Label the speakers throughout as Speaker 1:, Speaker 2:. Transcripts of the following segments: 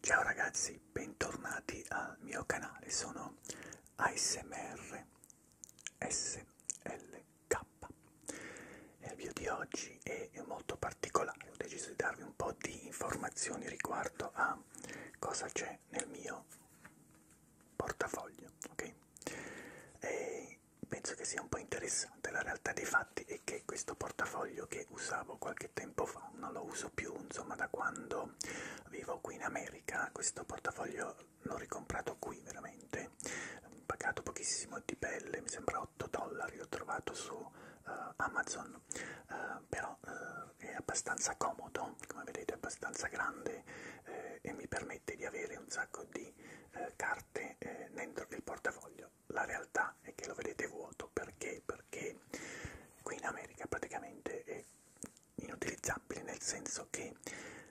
Speaker 1: Ciao ragazzi, bentornati al mio canale, sono ASMR SLK e il video di oggi è molto particolare, ho deciso di darvi un po' di informazioni riguardo a cosa c'è nel mio portafoglio, ok? E penso che sia un po' interessante la realtà dei fatti fatti è che questo portafoglio che usavo qualche tempo fa non lo uso più, insomma da quando vivo qui in America questo portafoglio l'ho ricomprato qui veramente, ho pagato pochissimo di pelle, mi sembra 8 dollari, l'ho trovato su uh, Amazon, uh, però uh, è abbastanza comodo, come vedete è abbastanza grande eh, e mi permette di avere un sacco di eh, carte eh, dentro il portafoglio la realtà è che lo vedete vuoto perché? Perché qui in America praticamente è inutilizzabile nel senso che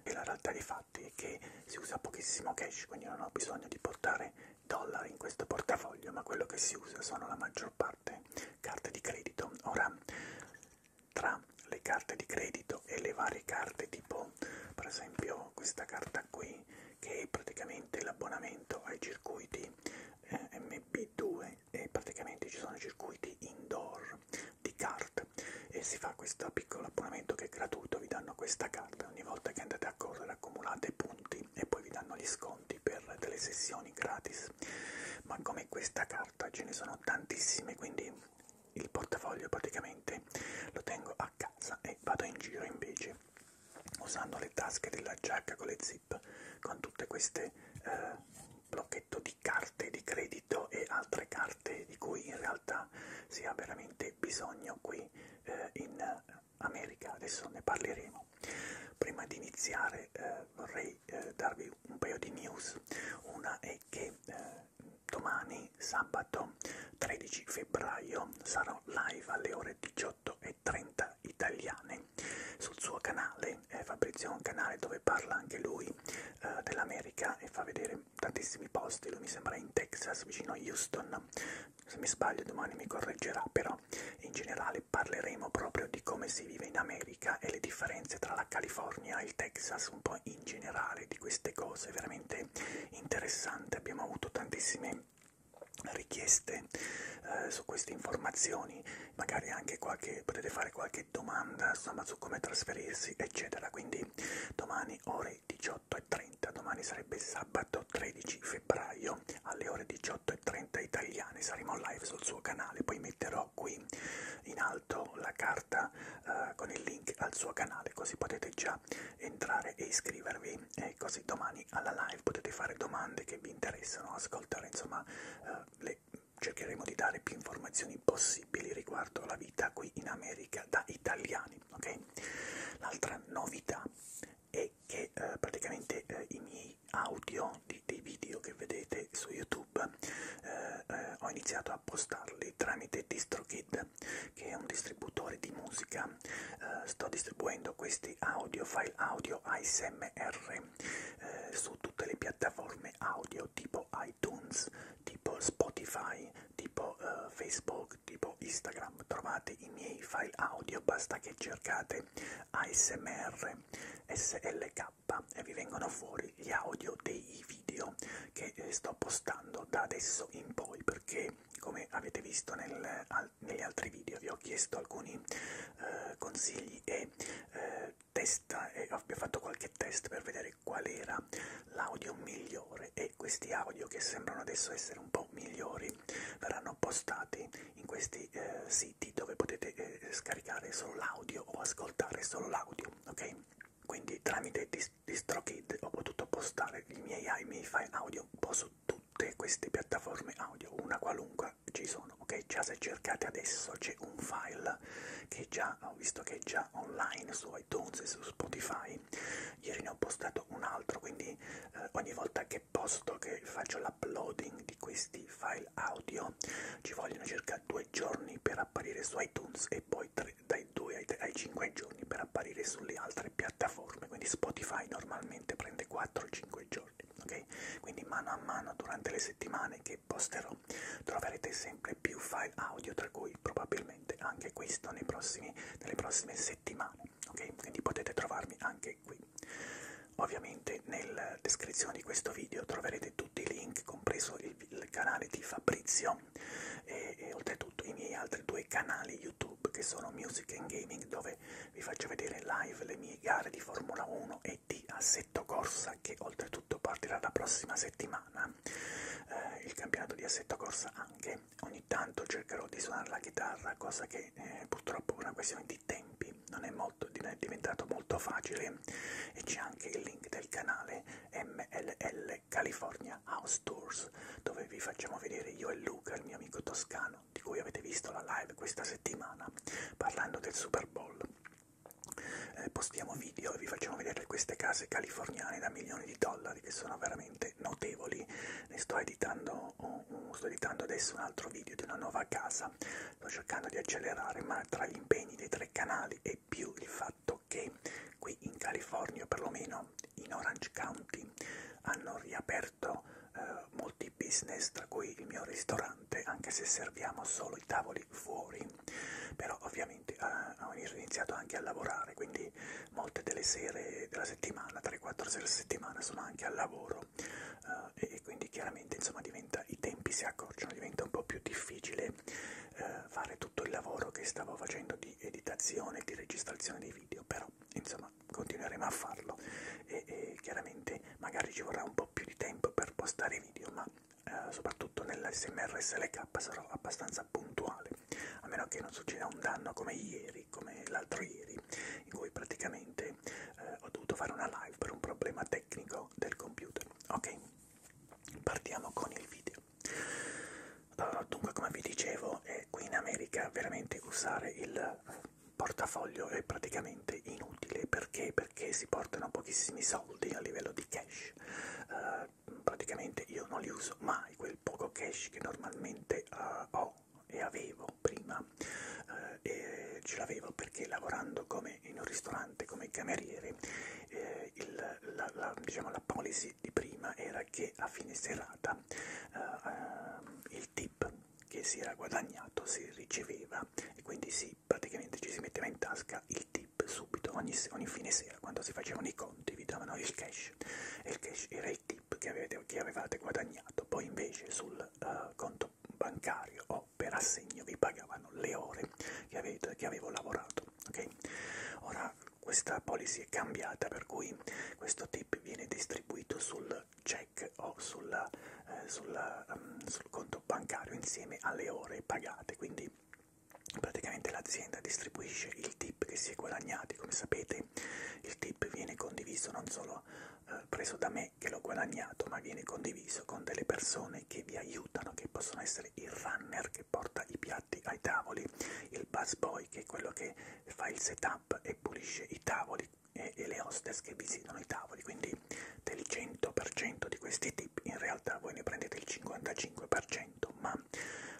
Speaker 1: è la realtà dei fatti è che si usa pochissimo cash, quindi non ho bisogno di portare dollari in questo portafoglio, ma quello che si usa sono la maggior parte carte di credito. Ora, tra le carte di credito e le varie carte tipo per esempio questa carta qui che è praticamente l'abbonamento ai circuiti eh, MB2 e praticamente ci sono circuiti indoor di kart e si fa questo piccolo abbonamento che è gratuito, vi danno questa carta ogni volta che andate a correre accumulate punti e poi vi danno gli sconti per delle sessioni gratis ma come questa carta ce ne sono tantissime quindi il portafoglio praticamente lo tengo a casa e vado in giro invece usando le tasche della giacca con le zip con tutte queste eh, blocchetto di carte di credito e altre carte di cui in realtà si ha veramente bisogno qui eh, in America adesso ne parleremo prima di iniziare eh, vorrei eh, darvi un paio di news una è che eh, domani sabato 13 febbraio sarò live alle ore 18.30 italiane sul suo canale. Eh, Fabrizio ha un canale dove parla anche lui eh, dell'America e fa vedere tantissimi posti. Lui mi sembra in Texas, vicino a Houston. Se mi sbaglio domani mi correggerà, però in generale parleremo proprio di come si vive in America e le differenze tra la California e il Texas, un po' in generale di queste cose, veramente interessante. Abbiamo avuto tantissime richieste eh, su queste informazioni, magari anche qualche, potete fare qualche domanda insomma, su come trasferirsi, eccetera. Quindi domani ore 18.30, domani sarebbe sabato 13 febbraio alle ore 18.30 italiane, saremo live sul suo canale, poi metterò qui in alto la carta eh, con il link al suo canale, così potete già significa entrare e iscrivervi e così domani alla live potete fare domande che vi interessano, ascoltare, insomma, eh, le, cercheremo di dare più informazioni possibili riguardo alla vita qui in America da italiani, ok? L'altra novità è che eh, praticamente eh, i miei audio di, dei video che vedete su YouTube eh, eh, ho iniziato a postarli tramite DistroKid che è un distributore di musica. Eh, sto distribuendo questi audio, file audio ASMR eh, su tutte le piattaforme audio tipo iTunes, tipo Spotify, tipo eh, Facebook, tipo Instagram. Trovate i miei file audio, basta che cercate ASMR SLK e vi vengono fuori gli audio dei video che eh, sto postando da adesso in poi perché come avete visto nel, al, negli altri video vi ho chiesto alcuni eh, consigli e eh, testa e ho fatto qualche test per vedere qual era l'audio migliore e questi audio che sembrano adesso essere un po' migliori verranno postati in questi eh, siti dove potete eh, scaricare solo l'audio o ascoltare solo l'audio ok quindi tramite DistroKid ho potuto postare i miei, i miei file audio posso su tutte queste piattaforme audio, una qualunque ci sono, ok? Già se cercate adesso c'è un file che già ho visto che è già online su iTunes e su Spotify. Ieri ne ho postato un altro, quindi eh, ogni volta che posto che faccio l'uploading di questi file audio ci vogliono circa due giorni per apparire su iTunes e poi tre, dai 2 ai 5 giorni giorni per apparire sulle altre piattaforme, quindi Spotify normalmente prende 4-5 giorni, ok? Quindi mano a mano durante le settimane che posterò troverete sempre più file audio, tra cui probabilmente anche questo nei prossimi, nelle prossime settimane, ok? Quindi potete trovarmi anche qui. Ovviamente nella descrizione di questo video troverete tutti i link, compreso il, il canale di Fabrizio e, e oltretutto i miei altri due canali YouTube che sono Music and Gaming dove dove vi faccio vedere in live le mie gare di Formula 1 e di Assetto Corsa che oltretutto partirà la prossima settimana. Eh, il campionato di Assetto Corsa anche. Ogni tanto cercherò di suonare la chitarra, cosa che eh, purtroppo è una questione di tempi, non è, molto, è diventato molto facile e c'è anche il link del canale MLL California House Tours dove vi facciamo vedere io e Luca, il mio amico toscano americano, di cui avete visto la live questa settimana, parlando del Super Bowl. Eh, postiamo video e vi facciamo vedere queste case californiane da milioni di dollari che sono veramente notevoli. Ne sto editando, oh, oh, sto editando adesso un altro video di una nuova casa, sto cercando di accelerare, ma tra gli impegni dei tre canali e più il fatto che qui in California, perlomeno in Orange County, hanno riaperto aperto eh, molti business, tra cui il mio ristorante, anche se serviamo solo i tavoli fuori, però ovviamente eh, ho iniziato anche a lavorare, quindi molte delle sere della settimana, 3-4 sere a settimana, sono anche al lavoro eh, e quindi chiaramente insomma diventa, i tempi si accorciano, diventa un po' più difficile eh, fare tutto il lavoro che stavo facendo di editazione, di registrazione dei video, però insomma continueremo a farlo e, e chiaramente magari ci vorrà un po' più di tempo per postare video, ma eh, soprattutto nell'SMR SLK sarò abbastanza puntuale, a meno che non succeda un danno come ieri, come l'altro ieri, in cui praticamente eh, ho dovuto fare una live per un problema tecnico del computer. Ok, partiamo con il video. Uh, dunque, come vi dicevo, è qui in America veramente usare il portafoglio è praticamente inutile perché, perché si portano pochissimi soldi a livello di cash uh, praticamente io non li uso mai quel poco cash che normalmente uh, ho e avevo prima uh, e ce l'avevo perché lavorando come in un ristorante come cameriere eh, il, la, la, diciamo, la policy di prima era che a fine serata eh, il tip che si era guadagnato si riceveva e quindi si, praticamente ci si metteva in tasca il tip subito, ogni, ogni fine sera quando si facevano i conti vi davano il cash e il cash era il tip che avevate, che avevate guadagnato, poi invece sul uh, conto bancario o per assegno vi pagavano le ore che, avete, che avevo lavorato. Okay? Ora questa policy è cambiata per cui questo tip viene distribuito sul check o sulla, eh, sulla, um, sul conto bancario insieme alle ore pagate, quindi praticamente l'azienda distribuisce il tip che si è guadagnati, come sapete il tip viene condiviso non solo eh, preso da me che l'ho guadagnato, ma viene condiviso con delle persone che vi aiutano, che possono essere il runner che porta i piatti ai tavoli, il bus boy che è quello che fa il setup e pulisce i tavoli e, e le hostess che visitano i tavoli, quindi del 100% di questi tip in realtà voi ne prendete il 55%, ma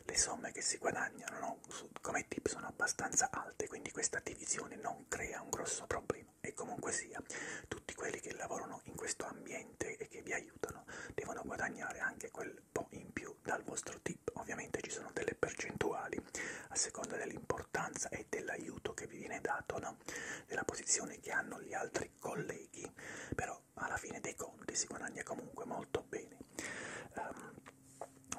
Speaker 1: le somme che si guadagnano no, su, come tip sono abbastanza alte, quindi questa divisione non crea un grosso problema e comunque sia tutti quelli che lavorano in questo ambiente e che vi aiutano devono guadagnare anche quel po' in più più dal vostro tip. Ovviamente ci sono delle percentuali a seconda dell'importanza e dell'aiuto che vi viene dato, no? della posizione che hanno gli altri colleghi, però alla fine dei conti si guadagna comunque molto bene. Um,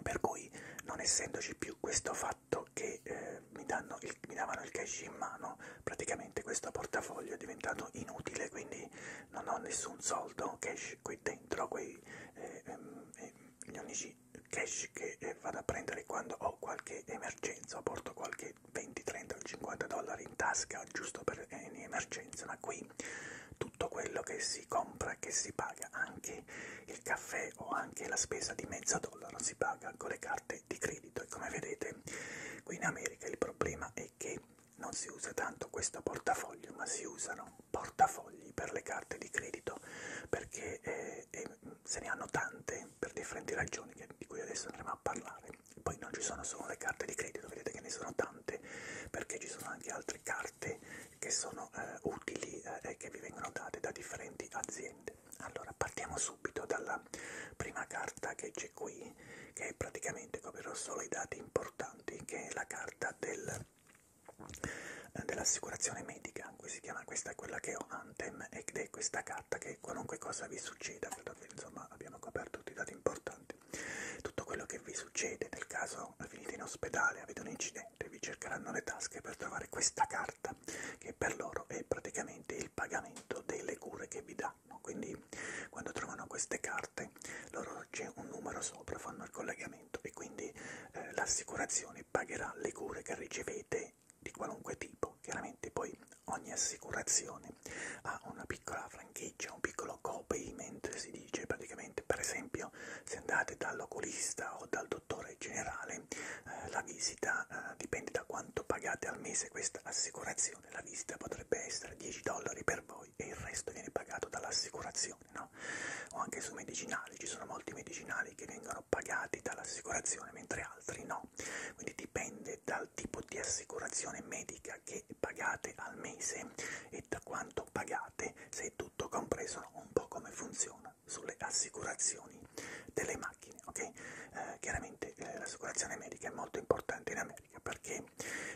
Speaker 1: per cui non essendoci più questo fatto che eh, mi, danno il, mi davano il cash in mano, praticamente questo portafoglio è diventato inutile, quindi non ho nessun soldo cash qui dentro, quei eh, eh, gli unici cash che eh, vado a prendere quando ho qualche emergenza, porto qualche 20, 30 o 50 dollari in tasca giusto per eh, emergenza, ma qui tutto quello che si compra, che si paga, anche il caffè o anche la spesa di mezzo dollaro si paga con le carte di credito e come vedete qui in America il problema è che non si usa tanto questo portafoglio, ma si usano portafogli per le carte di credito perché eh, eh, se ne hanno tante per differenti ragioni che, di cui adesso andremo a parlare. Poi non ci sono solo le carte di credito, vedete che ne sono tante perché ci sono anche altre carte che sono eh, utili eh, e eh, che vi vengono date da differenti aziende. Allora partiamo subito dalla prima carta che c'è qui che praticamente coprirò solo i dati importanti che è la carta del eh, dell'assicurazione medica, si chiama, questa è quella che ho Antem ed è questa carta che qualunque cosa vi succeda, credo che insomma abbiamo coperto tutti i dati importanti, tutto quello che vi succede nel caso finite in ospedale, avete un incidente, vi cercheranno le tasche per trovare questa carta che per loro è praticamente il pagamento delle cure che vi danno, quindi quando trovano queste carte loro c'è un numero sopra, fanno il collegamento trattamento e quindi eh, l'assicurazione pagherà le cure che ricevete di qualunque tipo. Chiaramente poi ogni assicurazione ha una piccola franchigia, un piccolo copayment si dice praticamente, per esempio se andate dall'oculista o dal dottore generale eh, la visita eh, dipende da quanto pagate al mese questa assicurazione, la visita potrebbe essere 10 dollari per voi e il resto viene pagato dall'assicurazione assicurazione, no? o anche sui medicinali, ci sono molti medicinali che vengono pagati dall'assicurazione mentre altri no, quindi dipende dal tipo di assicurazione medica che pagate al mese e da quanto pagate, se è tutto compreso, un po' come funziona sulle assicurazioni delle macchine, ok? Eh, chiaramente eh, l'assicurazione medica è molto importante in America perché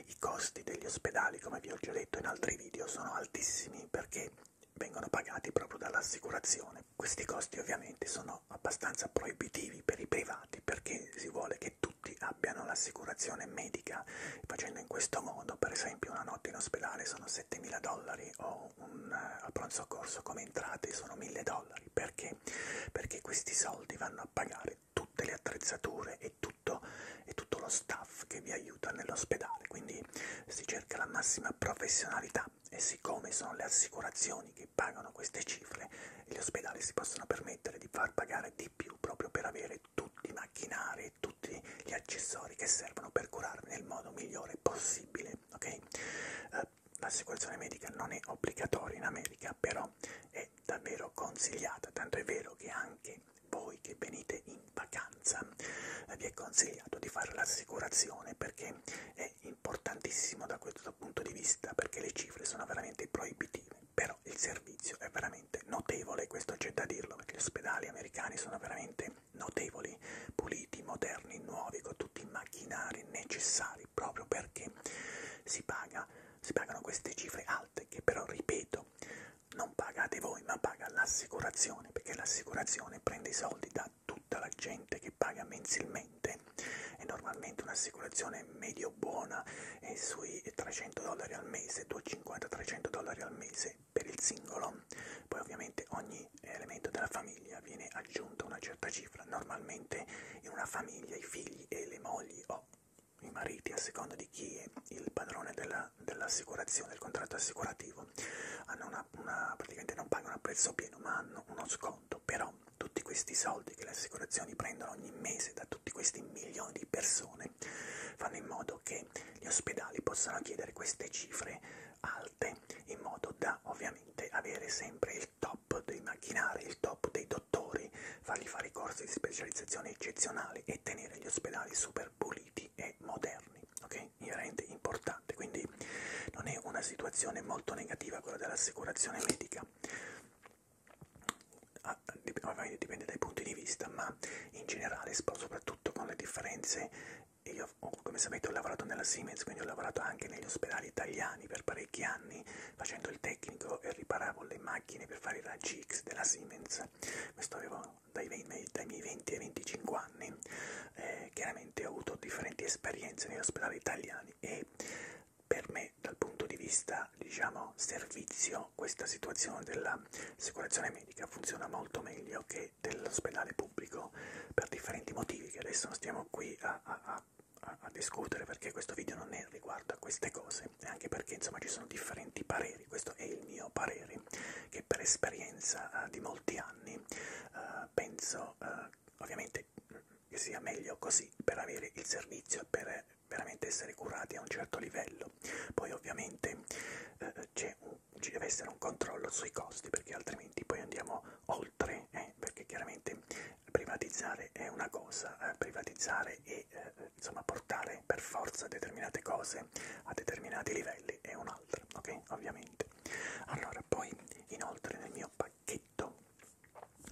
Speaker 1: i costi degli ospedali, come vi ho già detto in altri video, sono altissimi perché vengono pagati proprio dall'assicurazione. Questi costi ovviamente sono abbastanza proibitivi per i privati perché si vuole che tutti abbiano l'assicurazione medica, facendo in questo modo per esempio una notte in ospedale sono 7.000 dollari o un uh, pronto soccorso come entrate sono 1.000 dollari. Perché? Perché questi soldi vanno a pagare tutte le attrezzature e tutto e tutto lo staff che vi aiuta nell'ospedale, quindi si cerca la massima professionalità e siccome sono le assicurazioni che pagano queste cifre, gli ospedali si possono permettere di far pagare di più proprio per avere tutti i macchinari e tutti gli accessori che servono per curarvi nel modo migliore possibile, ok? Eh, L'assicurazione medica non è obbligatoria in America, però è davvero consigliata, tanto è vero che anche voi che venite in vacanza vi è consigliato di fare l'assicurazione perché è importantissimo da questo punto di vista perché le cifre sono veramente proibitive però il servizio è veramente notevole questo c'è da dirlo perché gli ospedali americani sono veramente notevoli puliti moderni nuovi con tutti i macchinari necessari proprio perché si paga si pagano queste cifre alte che però ripeto non pagate voi, ma paga l'assicurazione, perché l'assicurazione prende i soldi da tutta la gente che paga mensilmente e normalmente un'assicurazione medio buona è sui 300 dollari al mese, 250-300 dollari al mese per il singolo. Poi ovviamente ogni elemento della famiglia viene aggiunta una certa cifra, normalmente in una famiglia i figli e le mogli o i mariti a seconda di chi è il padrone della dell'assicurazione, del contratto assicurativo, hanno una, una, praticamente non pagano a prezzo pieno ma hanno uno sconto, però tutti questi soldi che le assicurazioni prendono ogni mese da tutti questi milioni di persone fanno in modo che gli ospedali possano chiedere queste cifre alte in modo da ovviamente avere sempre il top dei macchinari, il top dei dottori, fargli fare i corsi di specializzazione eccezionali e tenere gli ospedali super puliti e e moderni, ok? Inerente, importante, quindi non è una situazione molto negativa quella dell'assicurazione medica. Ah, ovviamente dipende dai punti di vista, ma in generale, soprattutto con le differenze, io come sapete ho lavorato nella Siemens, quindi ho lavorato anche negli ospedali italiani per parecchi anni, facendo il tecnico e riparavo le macchine per fare i raggi X della Siemens. Questo avevo intorno dai, dai miei 20 ai 25 anni, eh, chiaramente ho avuto differenti esperienze negli ospedali italiani e per me dal punto di vista diciamo servizio questa situazione dell'assicurazione medica funziona molto meglio che dell'ospedale pubblico per differenti motivi che adesso non stiamo qui a, a, a, a discutere perché questo video non è riguardo a queste cose anche perché insomma ci sono differenti pareri pareri, questo è il mio parere, che per esperienza eh, di molti anni eh, penso eh, ovviamente mm, che sia meglio così per avere il servizio e per veramente essere curati a un certo livello. Poi ovviamente eh, un, ci deve essere un controllo sui costi perché altrimenti poi andiamo oltre, eh, perché chiaramente privatizzare è una cosa, eh, privatizzare e eh, insomma portare per forza determinate cose base a determinati livelli è un'altra, ok? Ovviamente. Allora, poi inoltre nel mio pacchetto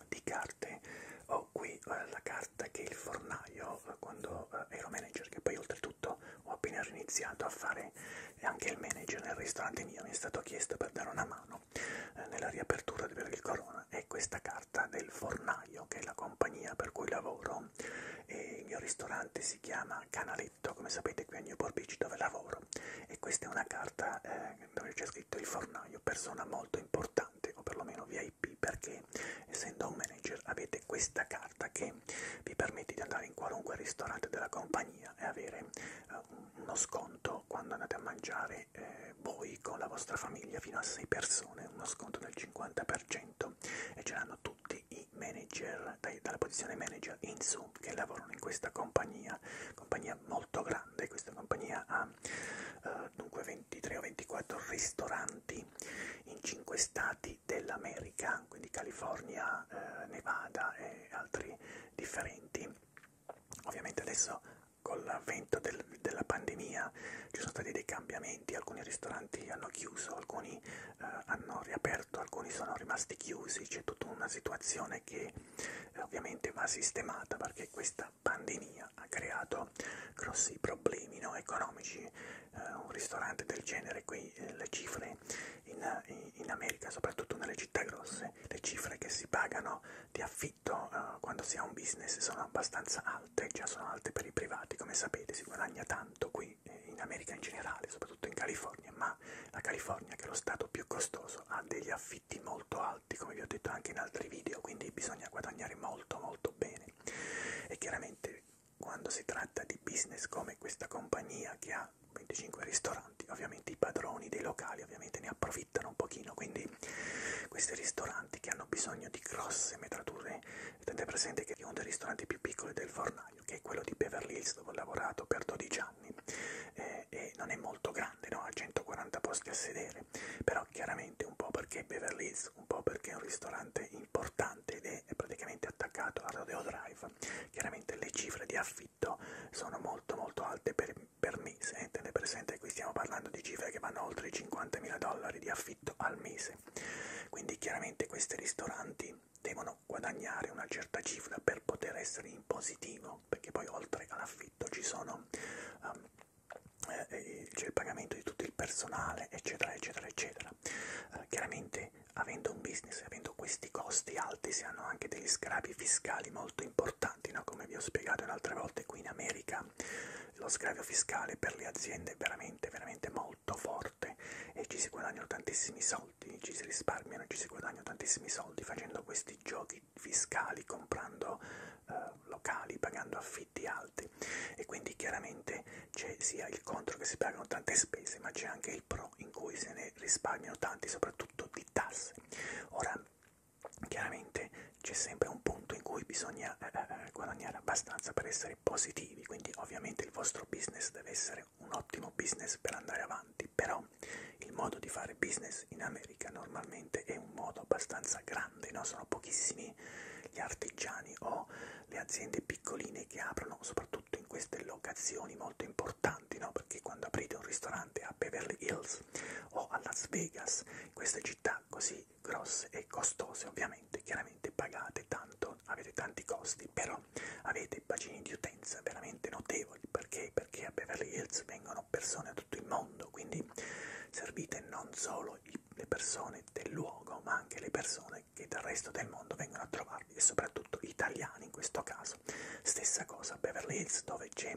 Speaker 1: di carte ho qui eh, la carta che il fornaio, eh, quando eh, ero manager, che poi oltretutto ho appena iniziato a fare anche il manager nel ristorante mio, mi è stato chiesto per dare una mano eh, nella riapertura del Corona, è questa carta del fornaio, che è la compagnia per cui lavoro e il mio ristorante si chiama Canaletto, come sapete qui a Newport Beach dove lavoro e questa è una carta eh, dove c'è scritto il fornaio, persona molto importante o perlomeno VIP perché essendo un manager avete questa carta che vi permette di andare in qualunque ristorante della compagnia e avere eh, uno sconto quando andate a mangiare eh, voi con la vostra famiglia fino a 6 persone, uno sconto del 50% e ce l'hanno tutti tutti i manager, dai, dalla posizione manager in su, che lavorano in questa compagnia, compagnia molto grande, questa compagnia ha eh, dunque 23 o 24 ristoranti in 5 stati dell'America, quindi California, eh, Nevada e altri differenti. Ovviamente adesso con l'avvento del, della pandemia ci sono stati dei cambiamenti, alcuni ristoranti hanno chiuso, alcuni eh, hanno riaperto, alcuni sono rimasti chiusi, c'è tutta una situazione che eh, ovviamente va sistemata perché questa pandemia ha creato grossi problemi no, economici. Eh, un ristorante del genere qui, eh, le cifre in, in, eh, in America, soprattutto nelle città grosse, le cifre che si pagano di affitto eh, quando si ha un business sono abbastanza alte, già sono alte per i privati, come sapete si guadagna tanto qui prezzi in America in generale, soprattutto in California, ma la California che è lo stato più costoso ha degli affitti molto alti, come vi ho detto anche in altri video, quindi bisogna guadagnare molto molto bene. E chiaramente quando si tratta di business come questa compagnia che ha 25 ristoranti, ovviamente i padroni dei locali ovviamente ne approfittano un pochino, quindi questi ristoranti che hanno bisogno di grosse metrature, tenete presente che uno dei ristoranti più piccoli del Fornace seminario, che è quello di Beverly Hills dove ho lavorato per 12 anni eh, e non è molto grande, no? ha 140 posti a sedere, però chiaramente un po' perché è Beverly Hills, un po' perché è un ristorante importante ed è praticamente attaccato a Rodeo Drive, chiaramente le cifre di affitto sono molto molto alte per, per mese, eh? tenete presente qui stiamo parlando di cifre che vanno oltre i 50.000 dollari di affitto al mese, quindi chiaramente questi ristoranti devono guadagnare una certa cifra per poter essere in positivo, perché poi oltre all'affitto ci sono um, eh, eh c'è il pagamento di tutto il personale, eccetera, eccetera, eccetera. Eh, chiaramente avendo un business, avendo questi costi alti, si hanno anche degli sgravi fiscali molto importanti, no? come vi ho spiegato in altre volte qui in America, lo sgravio fiscale per le aziende è veramente, veramente molto molto forte e ci si guadagnano tantissimi soldi, ci si risparmiano e ci si guadagnano tantissimi soldi facendo questi giochi fiscali, comprando eh, locali, pagando affitti alti e quindi chiaramente c'è sia il contro che si pagano tante spese, ma c'è anche il pro in cui se ne risparmiano tanti, soprattutto di tasse. Ora, chiaramente c'è sempre un punto in cui bisogna eh, eh, eh guadagnare abbastanza per essere positivi obiettivi, quindi ovviamente il vostro business deve essere un ottimo business per andare avanti, però il modo di fare business in America normalmente è un modo abbastanza grande, no? sono pochissimi gli artigiani o le aziende piccoline che aprono soprattutto in queste locazioni molto importanti, no? perché quando aprite un ristorante a Beverly Hills o a Las Vegas, queste città così grosse e costose ovviamente chiaramente pagate tanto non avete tanti costi, però avete bacini di utenza veramente notevoli. Perché? Perché a Beverly Hills vengono persone da tutto il mondo, quindi servite non solo le persone del luogo, ma anche le persone che dal resto del mondo vengono a trovarvi e soprattutto italiani in questo caso. Stessa cosa a Beverly Hills dove c'è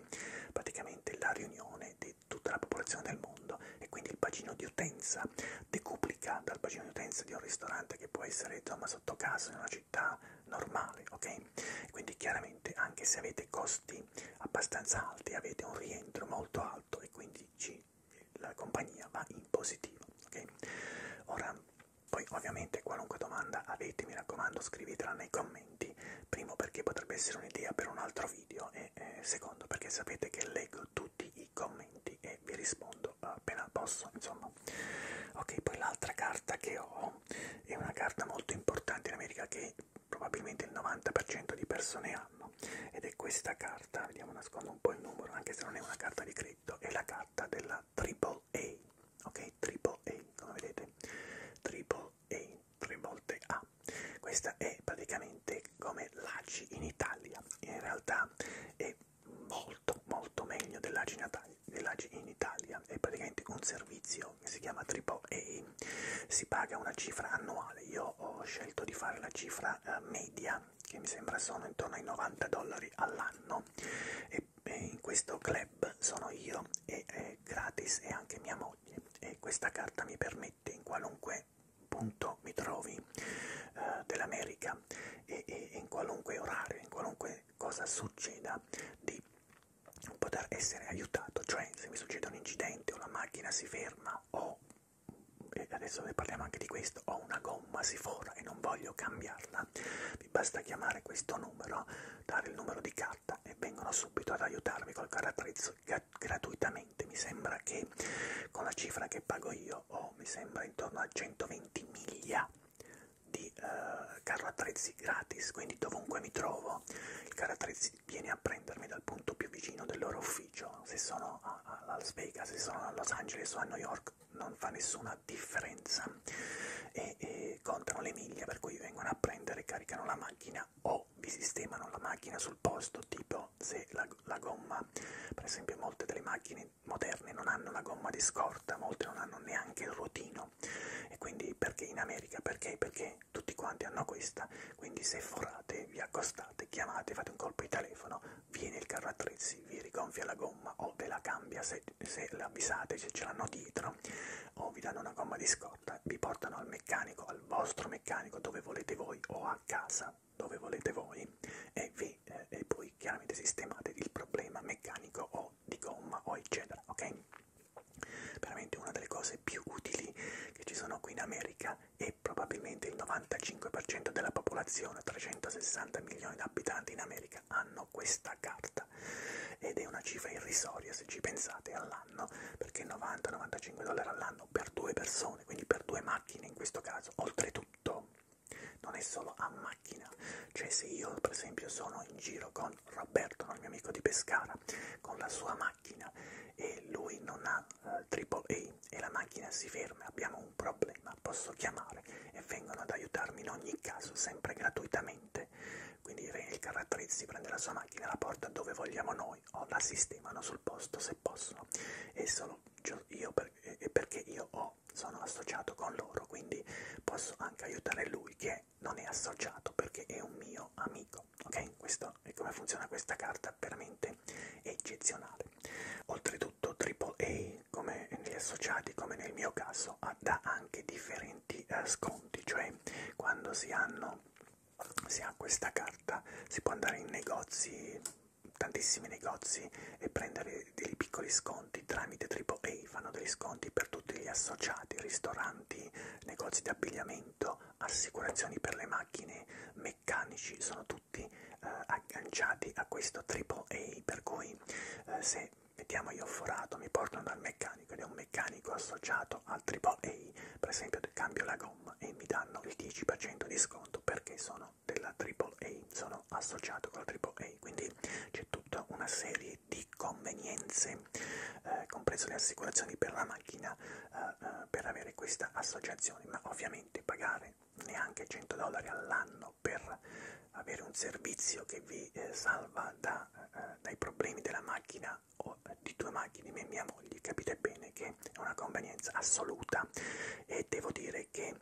Speaker 1: praticamente la riunione di tutta la popolazione del mondo e quindi il bacino di utenza decupato replica dal bacino di utenza di un ristorante che può essere insomma sotto casa in una città normale, ok? Quindi chiaramente anche se avete costi abbastanza alti avete un rientro molto alto e quindi ci, la compagnia va in positivo, ok? Ora poi ovviamente qualunque domanda avete, mi raccomando, scrivetela nei commenti, primo perché potrebbe essere un'idea per un altro video e eh, secondo perché sapete che leggo tutti i commenti e vi rispondo appena posso, insomma. Ok, poi l'altra carta che ho è una carta molto importante in America che probabilmente il 90% di persone hanno ed è questa carta, vediamo nascondo un po' il numero anche se non è una carta di credito, è la carta della AAA, ok? AAA, come vedete, AAA, tre volte A. Questa è praticamente come l'ACI in Italia, in realtà è molto molto meglio dell'AGI in Italia, è praticamente un servizio che si chiama AAA, si paga una cifra annuale, io ho scelto di fare la cifra eh, media che mi sembra sono intorno ai 90 dollari all'anno e in questo club sono io e è eh, gratis e anche mia moglie e questa carta mi permette in qualunque punto mi trovi eh, dell'America e, e in qualunque orario, in qualunque cosa succeda, di poter essere aiutato, cioè se mi succede un incidente o la macchina si ferma o, e adesso ne parliamo anche di questo, ho una gomma si fora e non voglio cambiarla, mi basta chiamare questo numero, dare il numero di carta e vengono subito ad aiutarmi col carattrezzo gratuitamente, mi sembra che miliardi. Con la cifra che pago io ho, oh, mi sembra, intorno a 120 miglia di eh, carro attrezzi gratis, quindi dovunque mi trovo il carro attrezzi viene a prendermi dal punto più vicino del loro ufficio, se sono a, a Las Vegas, se sono a Los Angeles o a New York non fa nessuna differenza e, e contano le miglia per cui vengono a prendere, caricano la macchina o vi sistemano la macchina sul posto, tipo se la, la gomma, per esempio molte delle macchine macchine moderne non hanno la gomma di scorta, molte non hanno neanche il ruotino. E quindi perché in America? Perché? Perché tutti quanti hanno questa. Quindi se forrate, vi accostate, chiamate, fate un colpo di telefono, viene il carro attrezzi, vi rigonfia la gomma o ve la cambia se, se l'avvisate, se ce l'hanno dietro, o vi danno una gomma di scorta, vi portano al meccanico, al vostro meccanico dove volete voi o a casa dove volete voi e, vi, eh, e poi chiaramente sistemate il problema meccanico o di gomma o eccetera, ok? Veramente una delle cose più utili che ci sono qui in America e probabilmente il 95% della popolazione, 360 milioni di abitanti in America, hanno questa carta ed è una cifra irrisoria se ci pensate all'anno perché 90-95 dollari all'anno per due persone, quindi per due macchine in questo caso, oltretutto non è solo a macchina, cioè se io per esempio sono in giro con Roberto, no, il mio amico di Pescara, con la sua macchina e lui non ha AAA eh, e la macchina si ferma, abbiamo un problema, posso chiamare e vengono ad aiutarmi in ogni caso, sempre gratuitamente, quindi il caratterizzi prende la sua macchina, la porta dove vogliamo noi o la sistemano sul posto se possono, e solo io per, eh, perché io ho però sono associato con loro, quindi posso anche aiutare lui che non è associato perché è un mio amico. Ok? Questo è come funziona questa carta, veramente eccezionale. Oltretutto AAA, come negli associati, come nel mio caso, dà anche differenti eh, sconti, cioè quando si hanno... Se ha questa carta si può andare in negozi tantissimi negozi e prendere dei piccoli sconti tramite AAA, fanno degli sconti per tutti gli associati, ristoranti, negozi di abbigliamento, assicurazioni per le macchine, meccanici, sono tutti eh, agganciati a questo AAA, per cui eh, se mettiamo io forato, mi portano dal meccanico ed è un meccanico associato al AAA, per esempio cambio la gomma e mi danno il 10% di sconto perché sono sono della AAA, sono associato con la AAA, quindi c'è tutta una serie di convenienze, eh, comprese le assicurazioni per la macchina, eh, eh per avere questa associazione, ma ovviamente pagare neanche 100 dollari all'anno per avere un servizio che vi eh, salva da, eh, eh, dai problemi della macchina o di due macchine, me e mia moglie, capite bene che è una convenienza assoluta e devo dire che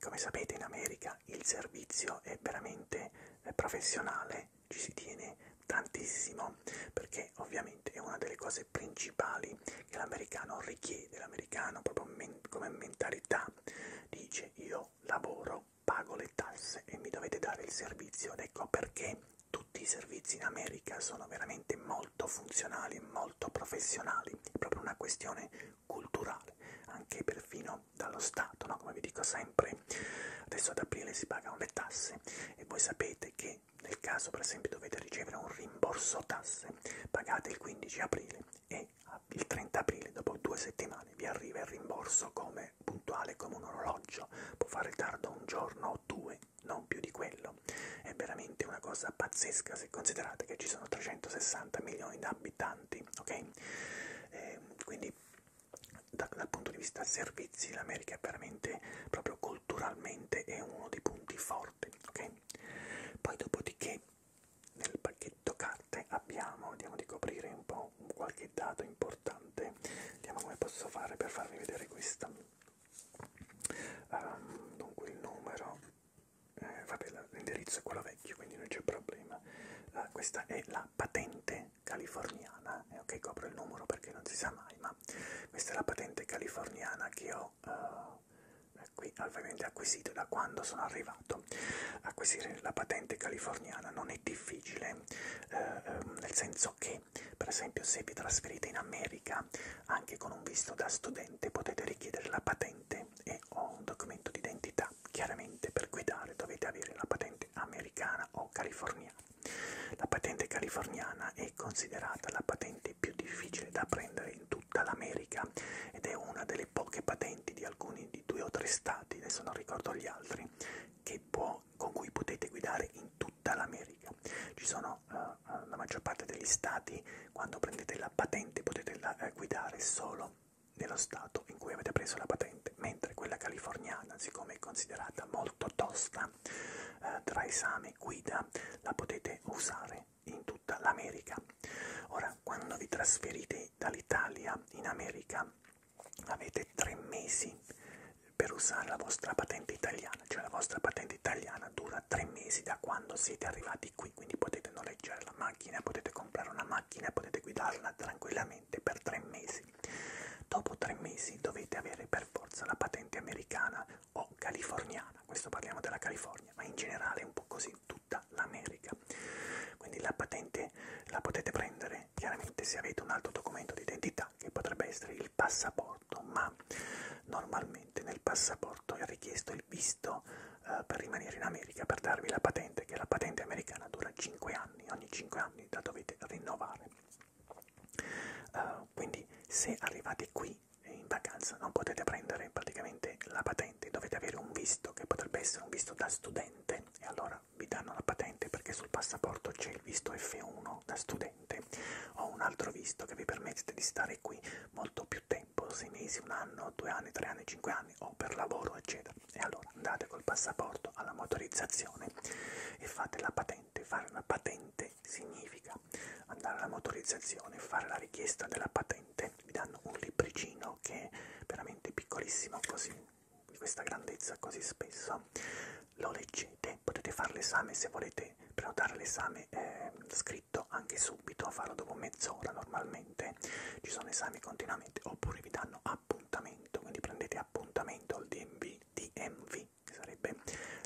Speaker 1: come sapete in America il servizio è veramente eh, professionale, ci si tiene tantissimo perché ovviamente è una delle cose principali che l'americano richiede, l'americano proprio men come mentalità dice io lavoro, pago le tasse e mi dovete dare il servizio ed ecco perché tutti i servizi in America sono veramente molto funzionali e molto professionali, è proprio una questione culturale, anche perfino dallo Stato, no? come vi dico sempre, adesso ad aprile si pagano le tasse e voi sapete che nel caso per esempio dovete ricevere un rimborso tasse, pagate il 15 aprile e il 30 aprile, dopo due settimane, vi arriva il rimborso come puntuale come un orologio, può fare tardo un giorno o due, non più di quello, è veramente veramente una cosa pazzesca se considerate che ci sono 360 milioni di abitanti, ok? Eh, quindi da, dal punto di vista servizi l'America è veramente, proprio culturalmente, è uno dei punti forti, ok? Poi dopodiché nel pacchetto carte abbiamo, andiamo di coprire un po' qualche dato importante, vediamo come posso fare per farvi vedere questa. Um, dunque il numero eh, vabbè l'indirizzo è quello vecchio quindi non c'è problema eh, questa è la patente californiana eh, ok copro il numero perché non si sa mai ma questa è la patente californiana che ho eh, eh qui ovviamente acquisito da quando sono arrivato acquisire la patente californiana non è difficile eh, ehm, nel senso che per esempio se vi trasferite in America anche con un visto da studente potete richiedere la patente e ho un documento di identità. Chiaramente per guidare dovete avere la patente americana o californiana. La patente californiana è considerata la patente più difficile da prendere in tutta l'America ed è una delle poche patenti di alcuni di due o tre stati, adesso non ricordo gli altri, che può, con cui potete guidare in tutta l'America. Ci sono uh, la maggior parte degli stati, quando prendete la patente potete la, eh, guidare solo nello stato in cui avete preso la patente, mentre quella californiana, siccome è considerata molto tosta eh, tra esame e guida, la potete usare in tutta l'America. Ora, quando vi trasferite dall'Italia in America, avete tre mesi per usare la vostra patente italiana, cioè la vostra patente italiana dura tre mesi da quando siete arrivati qui, quindi potete non noleggiare la macchina, potete comprare una macchina, potete guidarla tranquillamente per tre mesi. Dopo tre mesi dovete avere per forza la patente americana o californiana, questo parliamo della California, ma in generale è un po' così tutta l'America. Quindi la patente la potete prendere chiaramente se avete un altro documento di identità che potrebbe essere il passaporto, ma normalmente nel passaporto è richiesto il visto eh, per rimanere in America, per darvi la patente, che la patente americana dura 5 anni, ogni 5 anni la dovete rinnovare. Uh, quindi se arrivate qui eh, in vacanza non potete prendere praticamente la patente, dovete avere un visto che potrebbe essere un visto da studente e allora vi danno la patente perché sul passaporto c'è il visto F1 da studente o un altro visto che vi permette di stare qui molto più più tempo, sei mesi, un anno, due anni, tre anni, cinque anni o per lavoro eccetera. E allora andate col passaporto alla motorizzazione e fate la patente. Fare una patente significa andare alla motorizzazione, fare la richiesta della patente, vi danno un libricino che è veramente piccolissimo così di questa grandezza così spesso lo leggete potete fare l'esame se volete prenotare l'esame eh, scritto detto anche subito, farlo dopo mezz'ora normalmente, ci sono esami continuamente, oppure vi danno appuntamento, quindi prendete appuntamento al DMV, DMV che sarebbe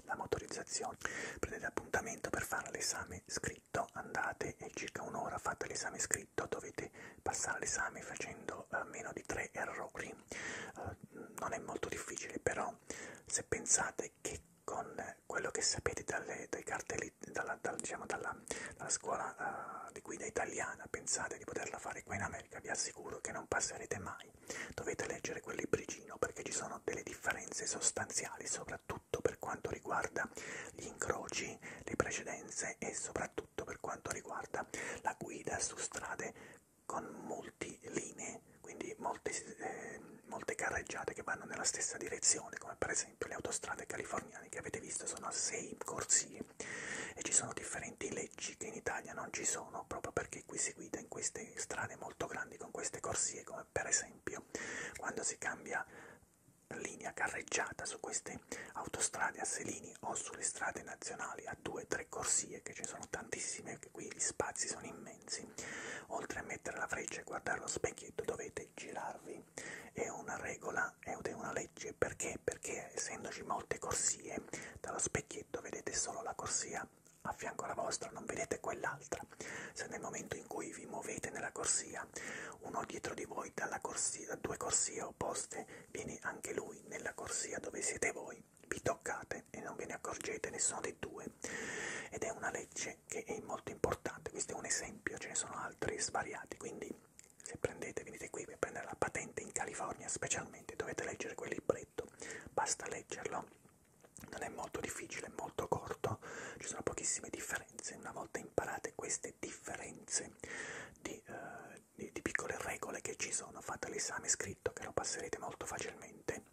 Speaker 1: la motorizzazione, prendete appuntamento per fare l'esame scritto, andate e circa un'ora fate l'esame scritto, dovete passare l'esame facendo eh, meno di tre errori, eh, non è molto difficile però se pensate che con quello che sapete dalle, dai cartelli, dalla, dal, diciamo dalla, dalla scuola uh, di guida italiana, pensate di poterla fare qua in America, vi assicuro che non passerete mai. Dovete leggere quel libricino perché ci sono delle differenze sostanziali, soprattutto per quanto riguarda gli incroci, le precedenze e soprattutto per quanto riguarda la guida su strade con molte linee, quindi molte eh, molte carreggiate che vanno nella stessa direzione, come per esempio le autostrade californiane che avete visto sono a sei corsie e ci sono differenti leggi che in Italia non ci sono proprio perché qui si guida in queste strade molto grandi con queste corsie, come per esempio quando si cambia linea carreggiata su queste autostrade a selini o sulle strade nazionali a due o tre corsie che ci sono tantissime, che qui gli spazi sono immensi Oltre a mettere la freccia e guardare lo specchietto dovete girarvi. È una regola ed è una legge perché? Perché essendoci molte corsie, dallo specchietto vedete solo la corsia a fianco alla vostra, non vedete quell'altra. Se nel momento in cui vi muovete nella corsia, uno dietro di voi dalla corsia, da due corsie opposte, viene anche lui nella corsia dove siete voi, vi toccate e non ve ne accorgete nessuno dei due. Ed è una legge dice che è molto importante, questo è un esempio, ce ne sono altri svariati, quindi se prendete, venite qui per prendere la patente in California specialmente, dovete leggere quel libretto, basta leggerlo, non è molto difficile, è molto corto, ci sono pochissime differenze, una volta imparate queste differenze di, eh, di, di piccole regole che ci sono, fate l'esame scritto che lo passerete molto facilmente,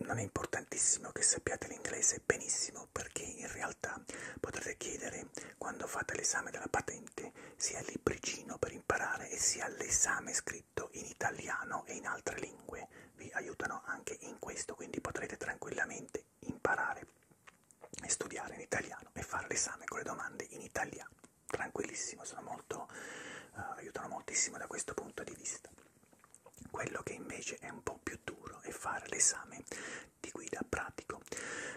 Speaker 1: non è importantissimo che sappiate l'inglese, inglese benissimo perché in realtà potrete chiedere quando fate l'esame della patente sia il libricino per imparare e sia l'esame scritto in italiano e in altre lingue. Vi aiutano anche in questo, quindi potrete tranquillamente imparare e studiare in italiano e fare l'esame con le domande in italiano. Tranquillissimo, sono molto, uh, aiutano moltissimo da questo punto di vista. Quello che invece è un po' più duro è fare l'esame di guida pratico.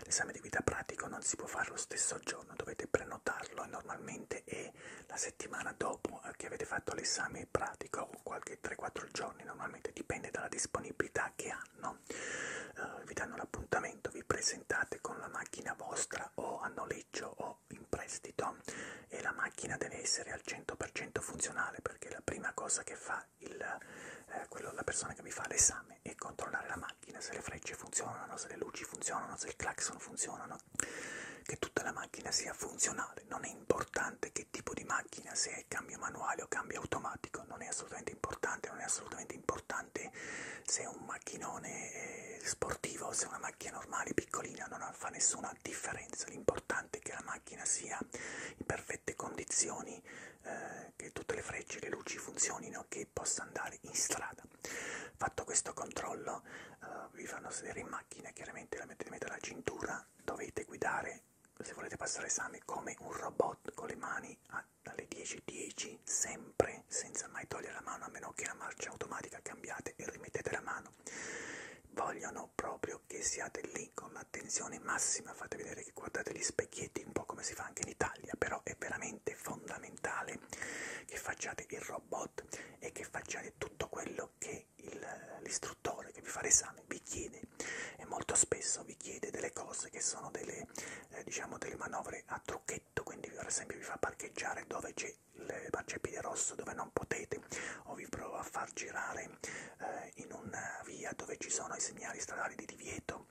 Speaker 1: L'esame di guida pratico non si può fare lo stesso giorno, dovete prenotarlo e normalmente è la settimana dopo eh, che avete fatto l'esame pratico o qualche 3-4 giorni, normalmente dipende dalla disponibilità che hanno. Uh, vi danno l'appuntamento, vi presentate con la macchina vostra o a noleggio o in prestito e la macchina deve essere al 100% funzionale perché la prima cosa che fa sia il, eh, quello, la persona che mi fa l'esame e controllare la macchina, se le frecce funzionano, se le luci funzionano, se il clacson funzionano, che tutta la macchina sia funzionale. Non è importante che tipo di macchina, se è cambio manuale o cambio automatico, non è assolutamente importante, non è assolutamente importante se è un macchinone eh, sportivo o se è una macchina normale, piccolina, non fa nessuna differenza. L'importante importante che la macchina sia in perfette condizioni, eh, che tutte le frecce, le luci funzionino, che possa andare in strada. Fatto questo controllo, eh, vi fanno sedere in macchina, chiaramente la mettete in mezzo alla cintura, dovete guidare, se volete passare esame, come un robot con le mani a, alle 10.10, 10, sempre, senza mai togliere la mano, a meno che la marcia automatica cambiate e rimettete la mano. Vogliono vogliono proprio che siate lì con l'attenzione massima, fate vedere che guardate gli specchietti, un po' come si fa anche in Italia, però è veramente fondamentale che facciate il robot e che facciate tutto quello che l'istruttore che vi fa l'esame vi chiede e molto spesso vi chiede delle cose che sono delle, eh, diciamo delle manovre a trucchetto, quindi per esempio vi fa parcheggiare dove c'è il marciapiede rosso dove non potete o vi prova a far girare eh, in una via dove ci sono i segnali stradali di divieto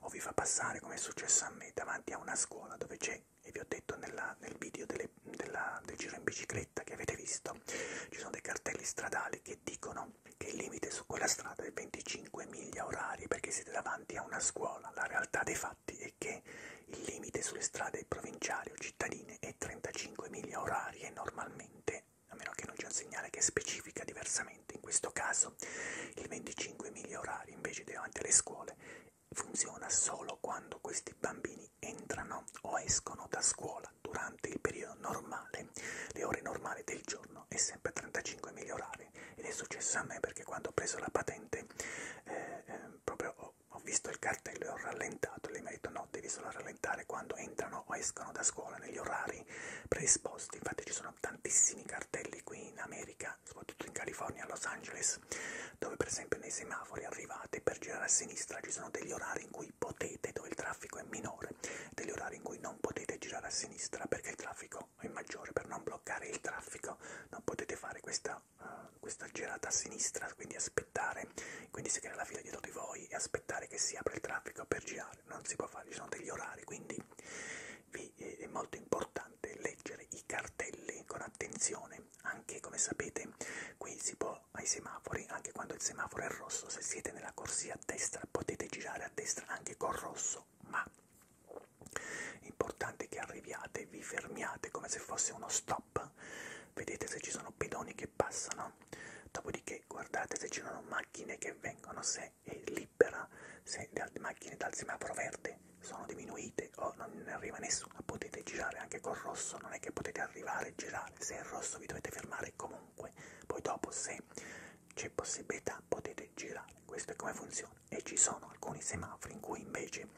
Speaker 1: o vi fa passare, come è successo a me, davanti a una scuola dove c'è, e vi ho detto nella, nel video delle, della, del giro in bicicletta che avete visto, ci sono dei cartelli stradali che dicono che il limite su quella strada è 25 miglia orari perché siete davanti a una scuola. La realtà dei fatti è che il limite sulle strade provinciali o cittadine è 35 miglia orari e normalmente a meno che non c'è un segnale che specifica diversamente. In questo caso il 25 miglia orari invece davanti alle scuole funziona solo quando questi bambini entrano o escono da scuola durante il periodo normale, le ore normali del giorno è sempre 35 miglia orari ed è successo a me perché quando ho preso la patente eh, eh, proprio ho, ho visto il cartello e ho rallentato, lei mi ha detto no, devi solo rallentare quando entrano entrano o escono da scuola negli orari predisposti. Infatti ci sono tantissimi cartelli qui in America, soprattutto in California, a Los Angeles, dove per esempio nei semafori arrivate per girare a sinistra ci sono degli orari in cui potete, dove il traffico è minore, degli orari in cui non potete girare a sinistra perché il traffico è maggiore, per non bloccare il traffico non potete fare questa, uh, questa girata a sinistra, quindi aspettare quindi si crea la fila dietro di voi e aspettare che si apra il traffico per girare non si può fare, ci sono degli orari, quindi vi eh, è molto importante leggere i cartelli con attenzione, anche come sapete qui si può ai semafori, anche quando il semaforo è rosso, se siete nella corsia a destra potete girare a destra anche col rosso, ma è importante che arriviate, vi fermiate come se fosse uno stop, vedete se ci sono pedoni che che passano, dopodiché guardate se ci sono macchine che vengono, se è libera, se le macchine dal semaforo verde sono diminuite o non ne arriva nessuna, potete girare anche col rosso, non è che potete arrivare e girare, se è rosso vi dovete fermare comunque, poi dopo se c'è possibilità potete girare, questo è come funziona e ci sono alcuni semafori in cui invece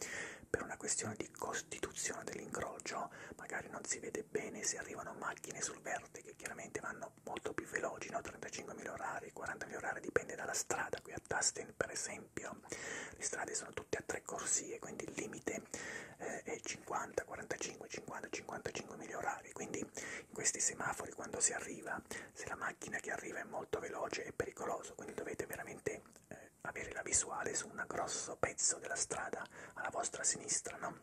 Speaker 1: per una questione di costituzione dell'incrocio magari non si vede guardate bene se arrivano macchine sul verde che chiaramente vanno molto più veloci, no? 35.000 orari, 40.000 orari dipende dalla strada, qui a Tustin per esempio le strade sono tutte a tre corsie, quindi il limite eh, è 50, 45, 50, 55.000 orari, quindi in questi semafori quando si arriva, se la macchina che arriva è molto veloce è pericoloso, quindi dovete veramente eh, avere la visuale su un grosso pezzo della strada alla vostra sinistra, no?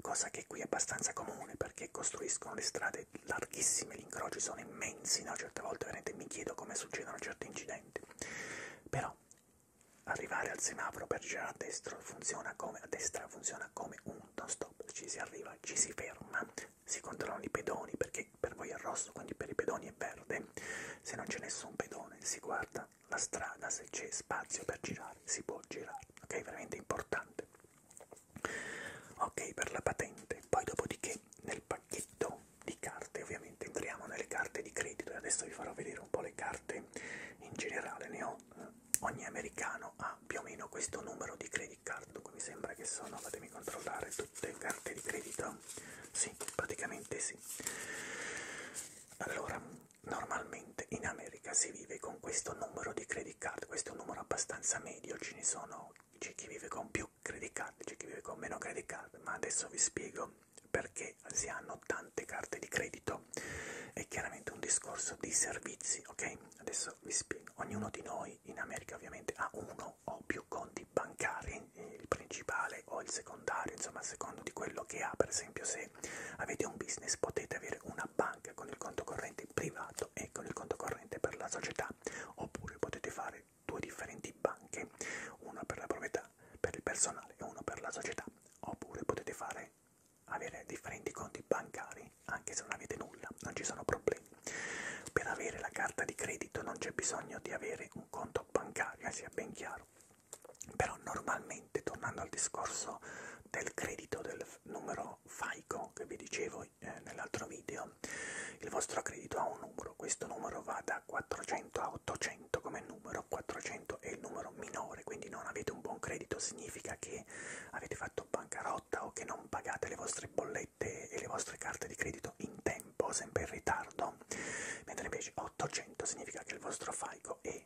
Speaker 1: cosa che qui è abbastanza comune perché costruiscono le strade larghissime, gli incroci sono immensi, no? certe volte veramente mi chiedo come succedono certi incidenti. Però arrivare al semaforo per girare a destra funziona come, a destra funziona come un non stop, ci si arriva, ci si ferma, si controllano i pedoni perché per voi è rosso, quindi per i pedoni è verde, se non c'è nessun pedone si guarda la strada, se c'è spazio per girare, si può girare, ok? Veramente importante. Ok, per la patente. Poi dopodiché nel pacchetto di carte, ovviamente entriamo nelle carte di credito e adesso vi farò vedere un po' le carte in generale, ne ho eh, ogni americano ha più o meno questo numero di credit card, dunque mi sembra che sono, fatemi controllare, tutte carte di credito, sì, praticamente sì. Allora, normalmente in America si vive con questo numero di credit card, questo è un numero abbastanza medio, ce ne sono, c'è chi vive con più credit card, c'è chi vive con meno credit card, ma adesso vi spiego perché si hanno tante carte di credito, è chiaramente un discorso di servizi, ok? Adesso vi spiego, ognuno di noi in America ovviamente ha uno o più conti bancari, eh, il principale o il secondario, insomma a secondo di quello che ha, per esempio se se avete un business potete avere una banca con il conto corrente privato e con il conto corrente per la società, oppure potete fare due differenti banche, una per la proprietà, per il personale e uno per la società, oppure potete fare avere differenti conti bancari anche se non avete nulla, non ci sono problemi. Per avere la carta di credito non c'è bisogno di avere un conto bancario, sia ben chiaro però normalmente tornando al discorso del credito del numero FICO che vi dicevo eh, nell'altro video il vostro credito ha un numero questo numero va da 400 a 800 come numero 400 è il numero minore quindi non avete un buon credito significa che avete fatto bancarotta o che non pagate le vostre bollette e le vostre carte di credito in tempo sempre in ritardo mentre invece 800 significa che il vostro FICO è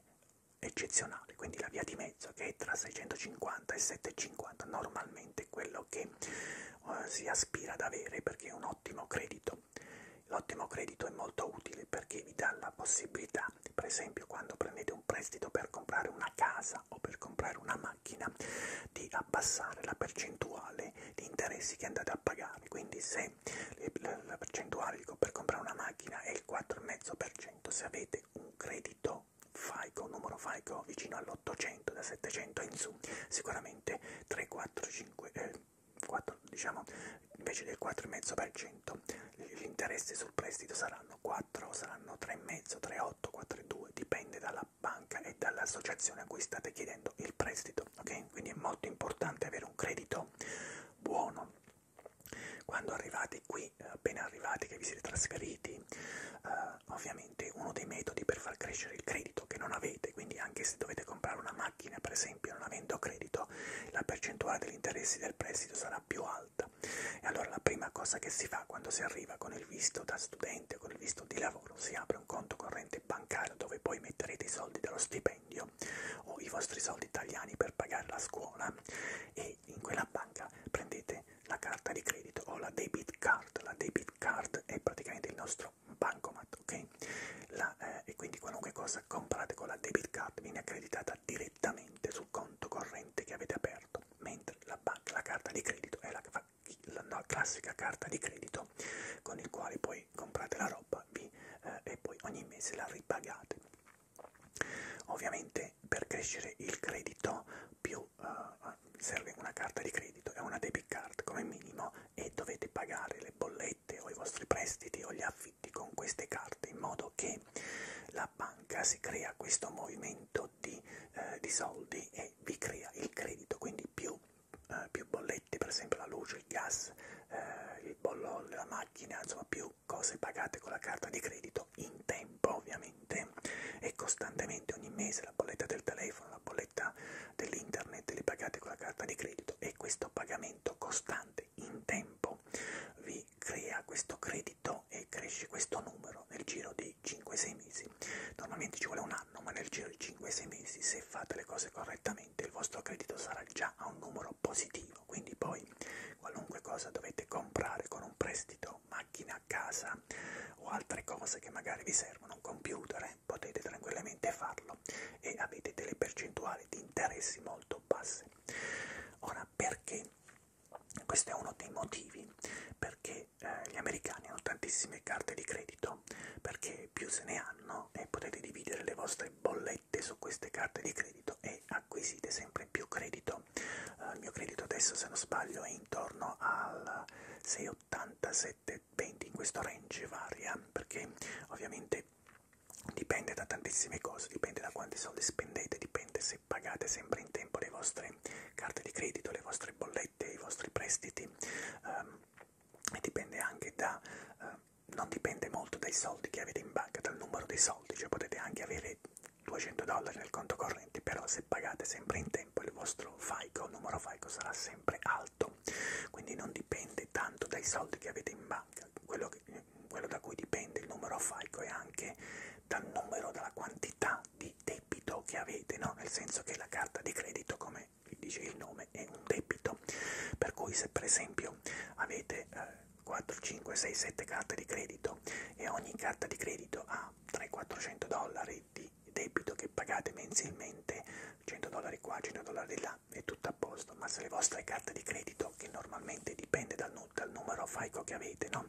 Speaker 1: eccezionale, quindi la via di mezzo che è tra 650 e 750 normalmente è quello che uh, si aspira ad avere perché è un ottimo credito. L'ottimo credito è molto utile perché vi dà la possibilità, per esempio quando prendete un prestito per comprare una casa o per comprare una macchina, di abbassare la percentuale di interessi che andate a pagare. Quindi se la percentuale dico, per comprare una macchina è il 4,5%, 2,5% se avete un credito FICO, un numero FICO vicino all'800, da 700 in su, sicuramente 3, 4, 5, eh, 4, diciamo invece del 4,5% gli interessi sul prestito saranno 4, saranno 3,5, 3,8, 4,2, dipende dalla banca e dall'associazione a cui state chiedendo il prestito, ok? Quindi è molto importante avere un credito buono quando arrivate qui, eh, appena arrivati che vi siete trasferiti, eh, ovviamente uno dei metodi per far crescere il credito che non avete, quindi anche se dovete comprare una macchina per esempio non avendo credito, la percentuale degli interessi del prestito sarà più alta. E allora la prima cosa che si fa quando si arriva con il visto da studente, con il visto di lavoro, si apre un conto corrente bancario dove poi metterete i soldi dello stipendio o i vostri soldi italiani per pagare la scuola e in quella banca prendete la carta di credito o la debit card. La debit card è praticamente il nostro bancomat, ok? La, eh, e quindi qualunque cosa comprate con la debit card viene accreditata direttamente sul conto corrente che avete aperto, mentre la, banca, la carta di credito è la, la no, classica carta di credito con il quale poi comprate la roba vi, eh, e poi ogni mese la ripagate. Ovviamente per crescere il credito più uh, serve una carta di credito e una debit card come minimo e dovete pagare le bollette o i vostri prestiti o gli affitti con queste carte in modo che la banca si crea questo movimento di, eh, di soldi e vi crea il credito, quindi più, eh, più bollette, per esempio la luce, il gas, eh, il bollo, la macchina, insomma più più cose pagate con la carta di credito in tempo ovviamente e costantemente ogni mese la bolletta del telefono, la bolletta dell'internet le pagate con la carta di credito e questo pagamento costante in tempo vi crea questo credito e cresce questo numero nel giro di 5-6 mesi. Normalmente ci vuole un anno, ma nel giro di 5-6 mesi se fate le cose correttamente il vostro credito sarà già a un numero positivo, quindi poi qualunque cosa dovete comprare con un prestito, macchina, casa o altre cose che magari vi servono, un computer, eh, potete tranquillamente farlo e avete delle percentuali di interessi molto basse. Ora, perché? Questo è uno dei motivi perché eh, gli americani hanno tantissime carte di credito, perché più se ne hanno e potete dividere le vostre bollette riflette su queste carte di credito e acquisite sempre più credito. Uh, il mio credito adesso, se non sbaglio, è intorno al 6,87-20, in questo range varia, perché ovviamente dipende da tantissime cose, dipende da quanti soldi spendete, dipende se pagate sempre in tempo le vostre carte di credito, le vostre bollette, i vostri prestiti, um, e dipende anche da... Uh, non dipende molto dai soldi che avete in banca, dal numero di soldi, cioè potete anche avere 200 dollari nel conto corrente, però se pagate sempre in tempo il vostro FICO, il numero FICO sarà sempre alto, quindi non dipende tanto dai soldi che avete in banca, quello, che, quello da cui dipende il numero FICO è anche dal numero, dalla quantità di debito che avete, no? nel senso che la carta di credito, come dice il nome, è un debito, per cui se per esempio avete... Eh, 4, 5, 6, 7 carte di credito e ogni carta di credito ha 300-400 dollari di debito che pagate mensilmente, 100 dollari qua, 100 dollari là, è tutto a posto, ma se le vostre carte di credito, che normalmente dipende dal, dal numero FICO che avete, no?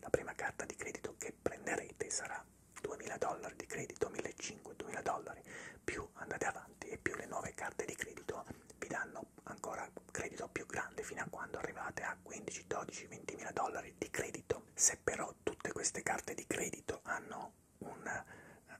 Speaker 1: la prima carta di credito che prenderete sarà 2000 dollari di credito, 1500, 2000 dollari, più andate avanti e più le nuove carte di credito vi danno ancora credito più grande fino a quando arrivate a 15, 12, 20 mila dollari di credito. Se però tutte queste carte di credito hanno un,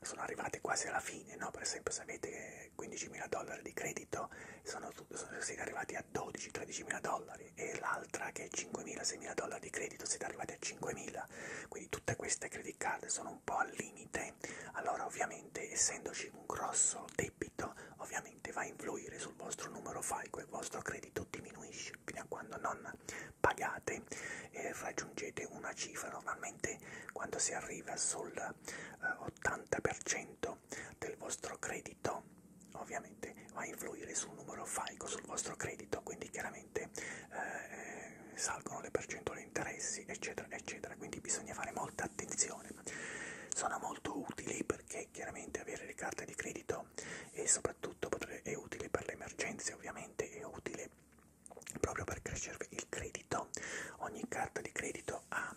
Speaker 1: sono arrivate quasi alla fine, no? per esempio se avete 15 mila dollari di credito sono, sono, siete arrivati a 12-13 mila dollari e l'altra che è 5 mila, 6 mila dollari di credito siete arrivati a 5 mila, quindi tutte queste credit card sono un po' al limite, allora ovviamente essendoci un grosso debito ovviamente va a influire sul vostro numero FICO e il vostro credito diminuisce fino a quando non pagate e raggiungete una cifra normalmente quando si arriva sul eh, 80% del vostro credito ovviamente va a influire sul numero FICO, sul vostro credito, quindi chiaramente eh, eh, salgono le percentuali di interessi, eccetera, eccetera. Quindi bisogna fare molta attenzione situazione. Sono molto utili perché chiaramente avere le carte di credito e soprattutto è utile per le emergenze, ovviamente è utile proprio per crescere il credito. Ogni carta di credito ha,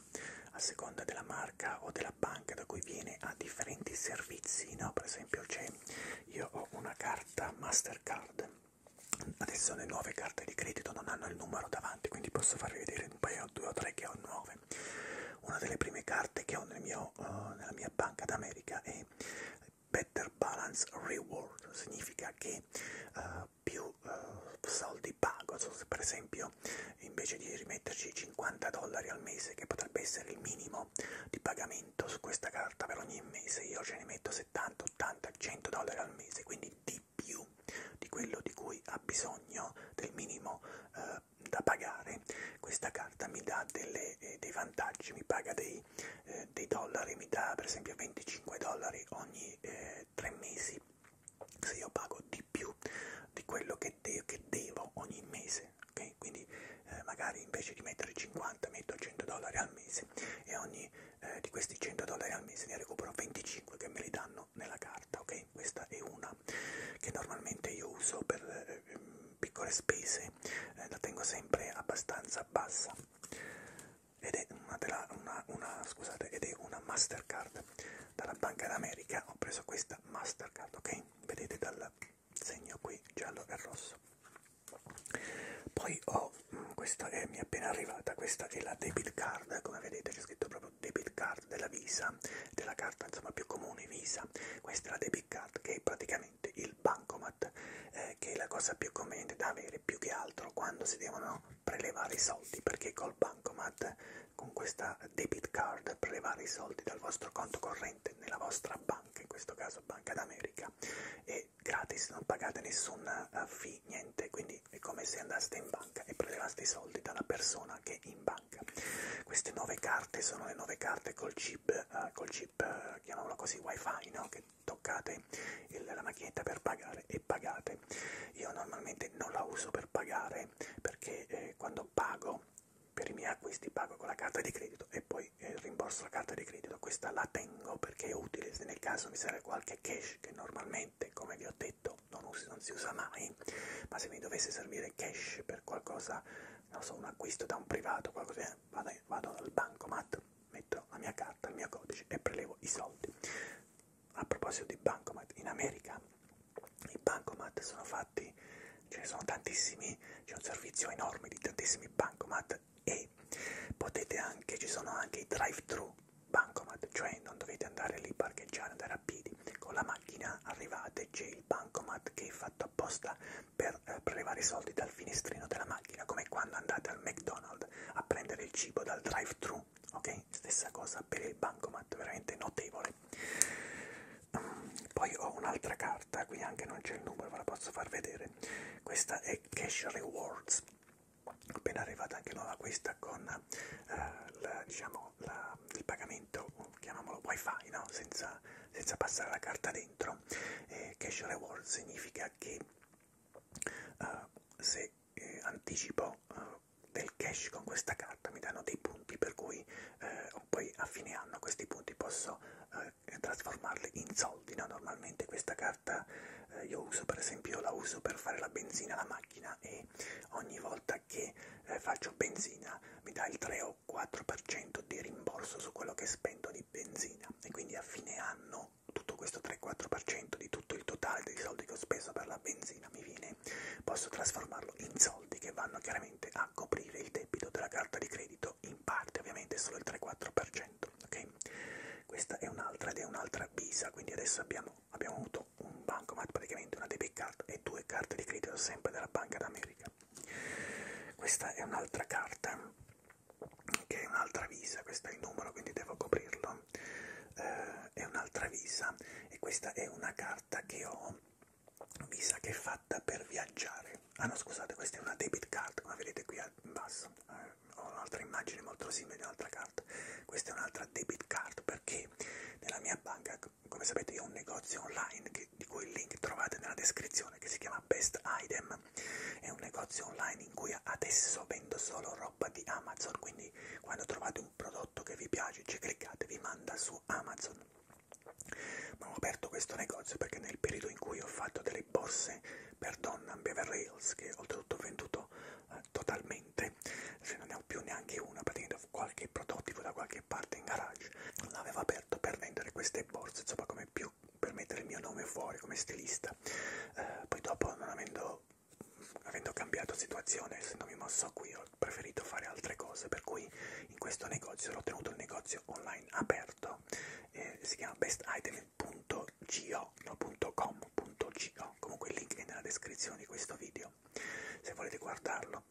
Speaker 1: a seconda della marca o della banca da cui viene, ha differenti servizi, no? Per esempio c'è, io ho una carta Mastercard, adesso le nuove carte di credito non hanno il numero davanti, quindi posso farvi vedere un paio ne ho due o tre che ho nuove. Una delle prime carte che ho nel mio, uh, nella mia banca d'America è Better Balance Reward, significa che uh, più uh, soldi pago, so se per esempio invece di rimetterci 50 dollari al mese, che potrebbe essere il minimo di pagamento su questa carta per ogni mese, io ce ne metto 70, 80, 100 dollari al mese, quindi di di più di quello di cui ha bisogno, del minimo eh, da pagare, questa carta mi dà delle, eh, dei vantaggi, mi paga dei, eh, dei dollari, mi dà per esempio 25 dollari ogni eh, 3 mesi, se io pago di più di quello che, de che devo ogni mese, ok? Quindi eh, magari invece di mettere 50 metto 100 dollari al mese e ogni eh, di questi 100 dollari al mese ne recupero 25 che me li danno fanno nella carta, ok? Questa è una che normalmente io uso per eh, piccole spese, eh, la tengo sempre abbastanza bassa ed è una, della, una, una, scusate, ed è una Mastercard dalla Banca d'America. Ho preso questa Mastercard, ok? Vedete dal segno qui giallo e rosso. Poi ho, mh, mm, questa è, mi è appena arrivata, questa è la debit card, come vedete c'è scritto proprio mio debit card della Visa, della carta insomma più comune Visa, questa è la debit card che è praticamente il bancomat, eh, che è la cosa più conveniente da avere più che altro quando si devono prelevare i soldi, perché col bancomat, con questa debit card, prelevare i soldi dal vostro conto corrente nella vostra banca, in questo caso Banca d'America, è gratis, non pagate nessun eh, fee, niente, quindi soldi, è come se andaste in banca e prelevaste i soldi dalla persona che è in banca. Queste nuove carte sono le nuove carte col chip, eh, col chip eh, chiamiamolo così, wifi, no? che toccate il, la macchinetta per pagare e pagate. Io normalmente non la uso per pagare perché eh, quando pago per i miei acquisti pago con la carta di credito e poi eh, rimborso la carta di credito. Questa la tengo perché è utile se nel caso mi serve qualche cash che normalmente, come vi ho detto, ripeto, non, usi, non si usa mai, ma se mi dovesse servire cash per qualcosa, non so, un acquisto da un privato, qualcosa, eh, vado, vado al bancomat, metto la mia carta, il mio codice e prelevo i soldi. A proposito di bancomat, in America i bancomat sono fatti, ce ne sono tantissimi, c'è un servizio enorme di tantissimi bancomat e potete anche, ci sono anche i drive-thru bancomat, cioè non dovete andare lì parcheggiare, andare a piedi, con la macchina arrivate c'è il bancomat che è fatto apposta per eh, prelevare i soldi dal finestrino della macchina, come quando andate al McDonald's a prendere il cibo dal drive-thru, ok? Stessa cosa per il bancomat, veramente notevole. Um, poi ho un'altra carta, qui anche non c'è il numero, ve la posso far vedere. Questa è Cash Rewards appena arrivata anche nuova questa con eh, la, diciamo, la, il pagamento, chiamiamolo wifi, no? senza, senza passare la carta dentro, eh, cash reward significa che eh, se eh, anticipo eh, del cash con questa carta mi danno dei punti per cui eh, poi a fine anno questi punti posso eh, trasformarli in soldi no? normalmente questa carta eh, io uso per esempio la uso per fare la benzina alla macchina e ogni volta volta che eh, faccio benzina mi dà il 3 o 4% di rimborso su quello che spendo di benzina e quindi a fine anno tutto questo 3-4% di tutto il totale dei soldi che ho speso per la benzina mi viene, posso trasformarlo in soldi che vanno chiaramente a coprire il debito della carta di credito in parte, ovviamente solo il 3-4%, ok? Questa è un'altra ed è un'altra bisa, quindi adesso abbiamo abbiamo avuto un bancomat, praticamente una debit card e due carte di credito sempre della Banca d'America. Questa è un'altra carta, che è un'altra visa, questo è il numero quindi devo coprirlo, eh, è un'altra visa e questa è una carta che ho, visa che è fatta per viaggiare. Ah no scusate, questa è una debit card, come vedete qui in basso, eh, ho un'altra immagine molto simile di un'altra carta, questa è un'altra vostra debit card perché nella mia banca, come sapete, io ho un negozio online che, di cui il link trovate nella descrizione che si chiama Best Item. È un negozio online in cui adesso vendo solo roba di Amazon, quindi quando trovate un prodotto che vi piace ci cliccate, vi manda su Amazon. Ma ho aperto questo negozio perché nel periodo in cui ho fatto delle borse per Donna Beverly Hills, che oltretutto ho venduto eh, totalmente, se non ne ho più neanche una, praticamente qualche prototipo da qualche parte in garage, l'aveva aperto per vendere queste borse, insomma come più per mettere il mio nome fuori come stilista, eh, poi dopo non avendo, avendo cambiato situazione, essendomi mosso qui, ho preferito fare altre cose, per cui in questo negozio l'ho tenuto il negozio online aperto, eh, si chiama bestitem.go, no.com.go, comunque il link è nella descrizione di questo video, video se volete guardarlo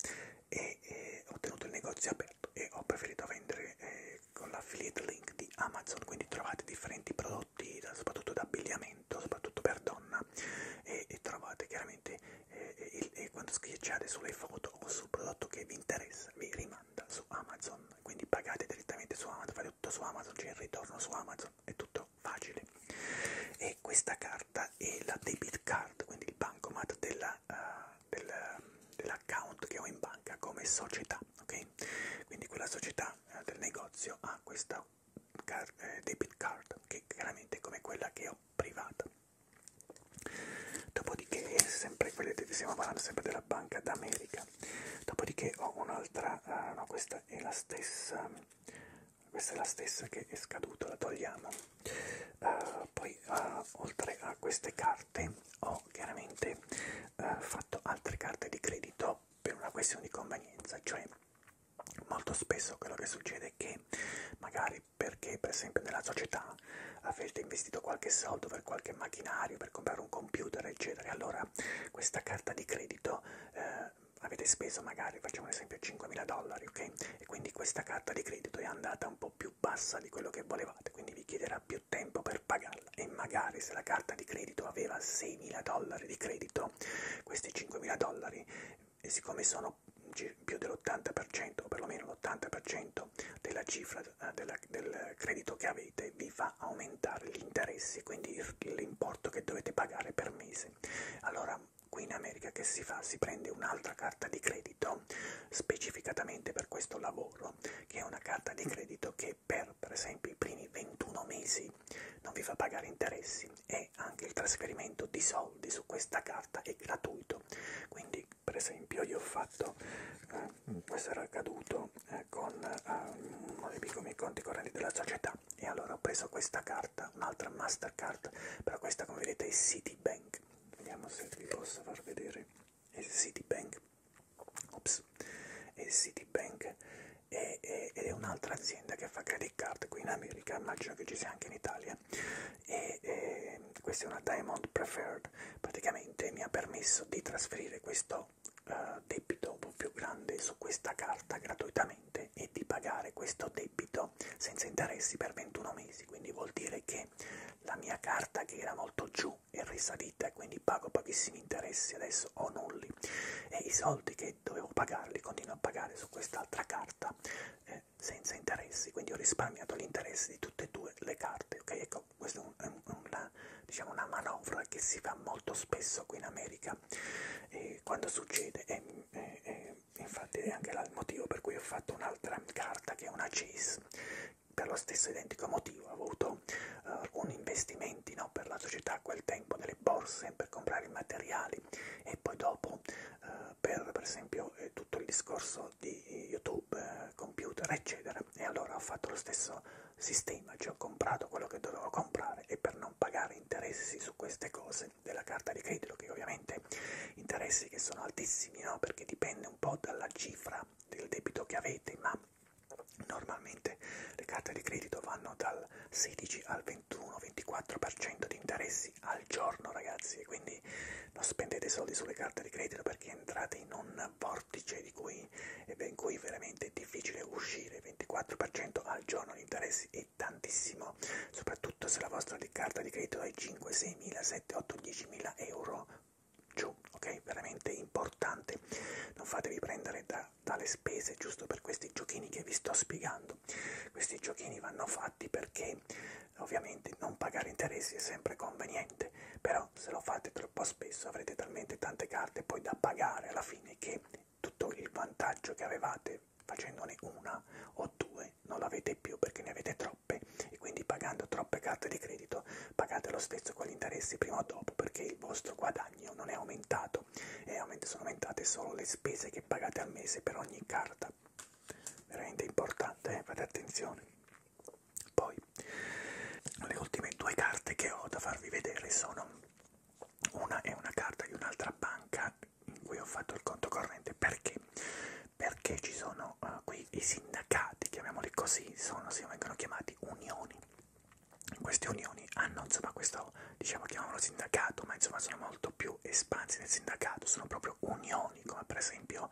Speaker 1: e eh, ho tenuto il negozio aperto e ho preferito vendere eh, con l'affiliate link di Amazon quindi trovate differenti prodotti soprattutto d'abbigliamento soprattutto per donna e, e trovate chiaramente eh, il, e quando schiacciate sulle foto o sul prodotto che vi interessa vi rimanda su Amazon quindi pagate direttamente su Amazon fate tutto su Amazon c'è il ritorno su Amazon è tutto facile e questa carta carta e la debit card, quindi il bancomat eh, dell'account uh, del, dell che ho in banca come società, ok? Quindi quella società uh, del negozio ha questa car eh, debit card che chiaramente è come quella che ho privata. Dopodiché, sempre quelle, stiamo parlando sempre della Banca d'America. Dopodiché ho un'altra, uh, no, questa è la stessa questa è la stessa che è scaduta, la togliamo. Uh, poi uh, oltre a queste carte ho chiaramente uh, fatto altre carte di credito per una questione di convenienza, cioè molto spesso quello che succede è che magari perché per esempio nella società avete investito qualche soldo per qualche macchinario, per comprare un computer eccetera, allora questa carta di credito eh, avete speso magari, facciamo un esempio, 5.000 dollari, ok? E quindi questa carta di credito è andata un po' più bassa di quello che volevate, quindi vi chiederà più tempo per pagarla. E magari se la carta di credito aveva 6.000 dollari di credito, questi 5.000 dollari, siccome sono più dell'80% o perlomeno l'80% della cifra eh, della, del credito che avete vi fa aumentare gli interessi, quindi l'importo che dovete pagare per mese. Allora cosa qui in America che si fa, si prende un'altra carta di credito specificatamente per questo lavoro, che è una carta di credito che per, per esempio, i primi 21 mesi non vi fa pagare interessi e anche il trasferimento di soldi su questa carta è gratuito. Quindi, per esempio, io ho fatto, eh, questo era accaduto eh, con eh, uno dei piccoli conti correnti della società, e allora ho preso questa carta, un'altra Mastercard, però questa come vedete è Citibank, vediamo se vi posso far vedere, è Citibank, ops, è Citibank ed è, è, è un'altra azienda che fa credit card qui in America, immagino che ci sia anche in Italia, e, e questa è una Diamond Preferred, praticamente mi ha permesso di trasferire questo uh, debito un po' più grande su questa carta gratuitamente corrente e di pagare questo debito senza interessi per 21 mesi, quindi vuol dire che la mia carta che era molto giù è risalita e quindi pago pochissimi interessi adesso o nulli e i soldi che dovevo pagarli continuo a pagare su quest'altra carta eh, senza interessi, quindi ho risparmiato gli interessi di tutte e due le carte, ok? Ecco, questa è un, un, una, diciamo una manovra che si fa molto spesso qui in America e quando succede è, è, è infatti è anche là il motivo per cui ho fatto un'altra carta che è una CIS per lo stesso identico motivo ho avuto uh, eh, alcuni investimenti no, per la società a quel tempo nelle borse per comprare i materiali e poi dopo uh, per, per esempio eh, tutto il discorso di YouTube, eh, computer eccetera e allora ho fatto lo stesso sistema, cioè ho comprato quello che dovevo comprare e per non pagare interessi su queste cose della carta di credito, che ovviamente interessi che sono altissimi, no? perché dipende un po' dalla cifra del debito che avete, ma normalmente le carte di credito vanno dal 16 al 21-24% di interessi al giorno, ragazzi, quindi non spendete soldi sulle carte di credito perché entrate in un vortice di cui, in cui veramente è difficile uscire, 24% al giorno di interessi è tantissimo, soprattutto se la vostra carta di credito è 5, 6 mila, 7, 8, 10 mila euro giù, ok? Veramente importante. Non fatevi prendere da, dalle spese giusto per questi giochini che vi sto spiegando. Questi giochini vanno fatti perché ovviamente non pagare interessi è sempre conveniente, però se lo fate troppo spesso avrete talmente tante carte poi da pagare alla fine che tutto il vantaggio che avevate facendone una o due non l'avete più perché ne avete troppe e quindi pagando troppe carte di credito pagate lo stesso con gli interessi prima o dopo perché il vostro guadagno non è aumentato e sono aumentate solo le spese che pagate al mese per ogni carta veramente importante eh? fate attenzione poi le ultime due carte che ho da farvi vedere sono una è una carta di un'altra banca in cui ho fatto il conto corrente perché perché ci sono uh, qui i sindacati chiamiamoli così sono si vengono chiamati unioni queste unioni hanno ah, insomma questo diciamo chiamavano sindacato ma insomma sono molto più espansi del sindacato sono proprio unioni come per esempio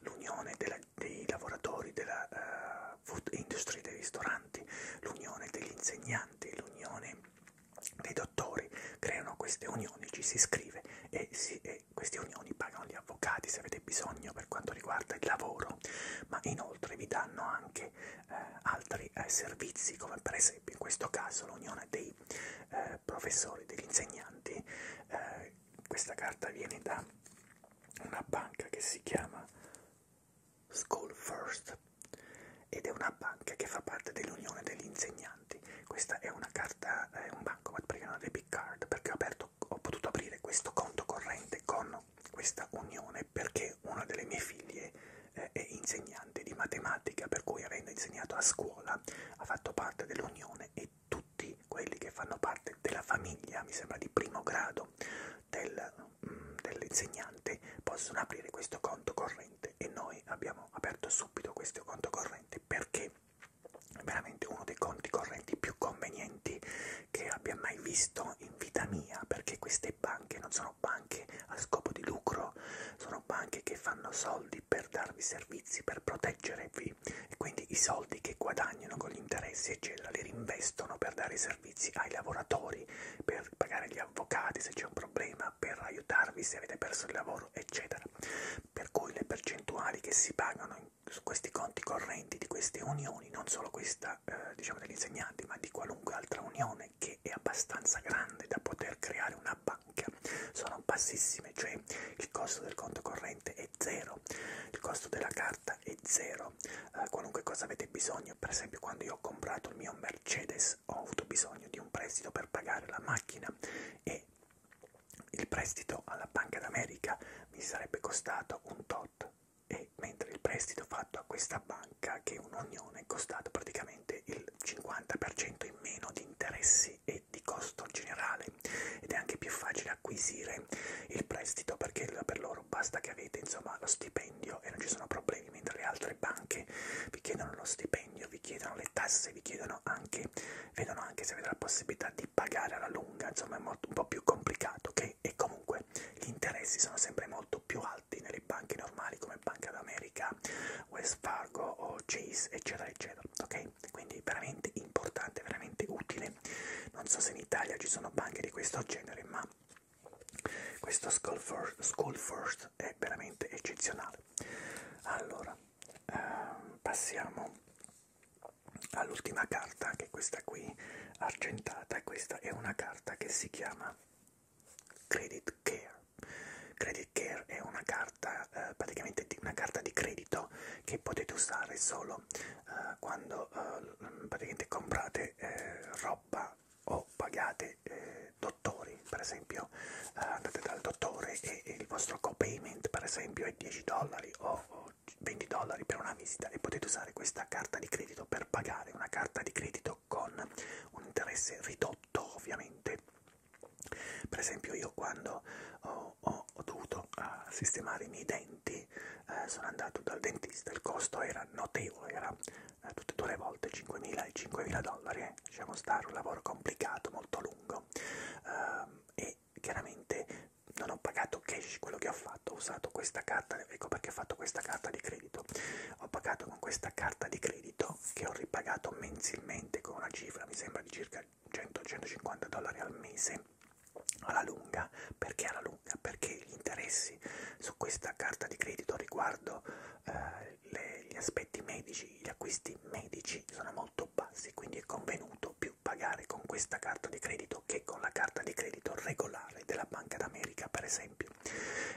Speaker 1: l'unione dei lavoratori della uh, food industry dei ristoranti l'unione degli insegnanti l'unione dei dottori creano queste unioni, ci si iscrive e, si, e queste unioni pagano gli avvocati se avete bisogno per quanto riguarda il lavoro, ma inoltre vi danno anche eh, altri eh, servizi come per esempio in questo caso l'unione dei eh, professori, degli insegnanti, eh, questa carta viene da una banca che si chiama School First ed è una banca che fa parte dell'Unione degli Insegnanti. Questa è una carta, eh, è un bancomat perché non ho debit card, perché ho, aperto, ho potuto aprire questo conto corrente con questa unione perché una delle mie figlie eh, è insegnante di matematica, per cui avendo insegnato a scuola ha fatto parte dell'unione e tutti quelli che fanno parte della famiglia, mi sembra di primo grado, del, mm, dell'insegnante possono aprire questo conto corrente corrente e noi abbiamo aperto subito questo conto corrente perché è veramente uno dei conti correnti più convenienti che abbia mai visto in vita mia perché queste banche non sono banche a scopo di lucro, sono banche che fanno soldi per darvi servizi, per proteggervi e quindi i soldi che guadagnano con gli interessi eccetera li rinvestono per dare servizi ai lavoratori, per pagare gli avvocati se c'è un problema, società per aiutarvi se avete perso il lavoro, eccetera. Per cui le percentuali che si pagano su questi conti correnti di queste unioni, non solo questa eh, diciamo degli insegnanti, ma di qualunque altra unione che è abbastanza grande da poter creare una banca, sono bassissime, cioè il costo del conto corrente è zero, il costo della carta è zero, eh, qualunque cosa avete bisogno, per esempio quando io ho comprato il mio Mercedes X ho avuto bisogno di un prestito per pagare la macchina e il prestito alla Banca d'America mi sarebbe costato un tot e mentre il prestito fatto a questa banca che è un'unione è costato praticamente il 50% in meno di interessi e di costo generale ed è anche più facile acquisire il prestito perché per loro basta che avete insomma lo stipendio e non ci sono problemi banche, mentre le altre banche vi chiedono lo stipendio, vi chiedono le tasse, vi chiedono anche, vedono anche se avete la possibilità di pagare alla lunga, insomma è molto, un po' più complicato, ok? E comunque gli interessi sono sempre molto più alti nelle banche normali come Banca d'America, West Fargo o Chase, eccetera, eccetera, ok? Quindi veramente importante, veramente utile. Non so se in Italia ci sono banche di questo genere, ma questo Skull First, Skull First è veramente eccezionale. Allora, ehm, passiamo all'ultima carta, che è questa qui, argentata. Questa è una carta che si chiama Credit Care. Credit Care è una carta, eh, praticamente una carta di credito che potete usare solo eh, quando eh, praticamente comprate eh, roba o pagate siete eh, dottori, per esempio eh, andate dal dottore e, e il vostro copayment per esempio è 10 dollari o, o 20 dollari per una visita e potete usare questa carta di credito per pagare una carta di credito con un interesse ridotto ovviamente. Per esempio io quando ho, ho, ho dovuto uh, sistemare i miei denti eh, sono andato dal dentista, il costo era notevole, era eh, tutte e due le volte 5.000 e 5.000 dollari, eh, lasciamo stare, un lavoro complicato, molto lungo uh, e chiaramente non ho pagato cash quello che ho fatto, ho usato questa carta, ecco perché ho fatto questa carta di credito, ho pagato con questa carta di credito che ho ripagato mensilmente con una cifra, mi sembra di circa 100-150 dollari al mese alla lunga, perché alla lunga? Perché gli interessi su questa carta di credito riguardo eh, le, gli aspetti medici, gli acquisti medici sono molto bassi, quindi è convenuto più pagare con questa carta di credito che con la carta di credito regolare della Banca d'America, per esempio.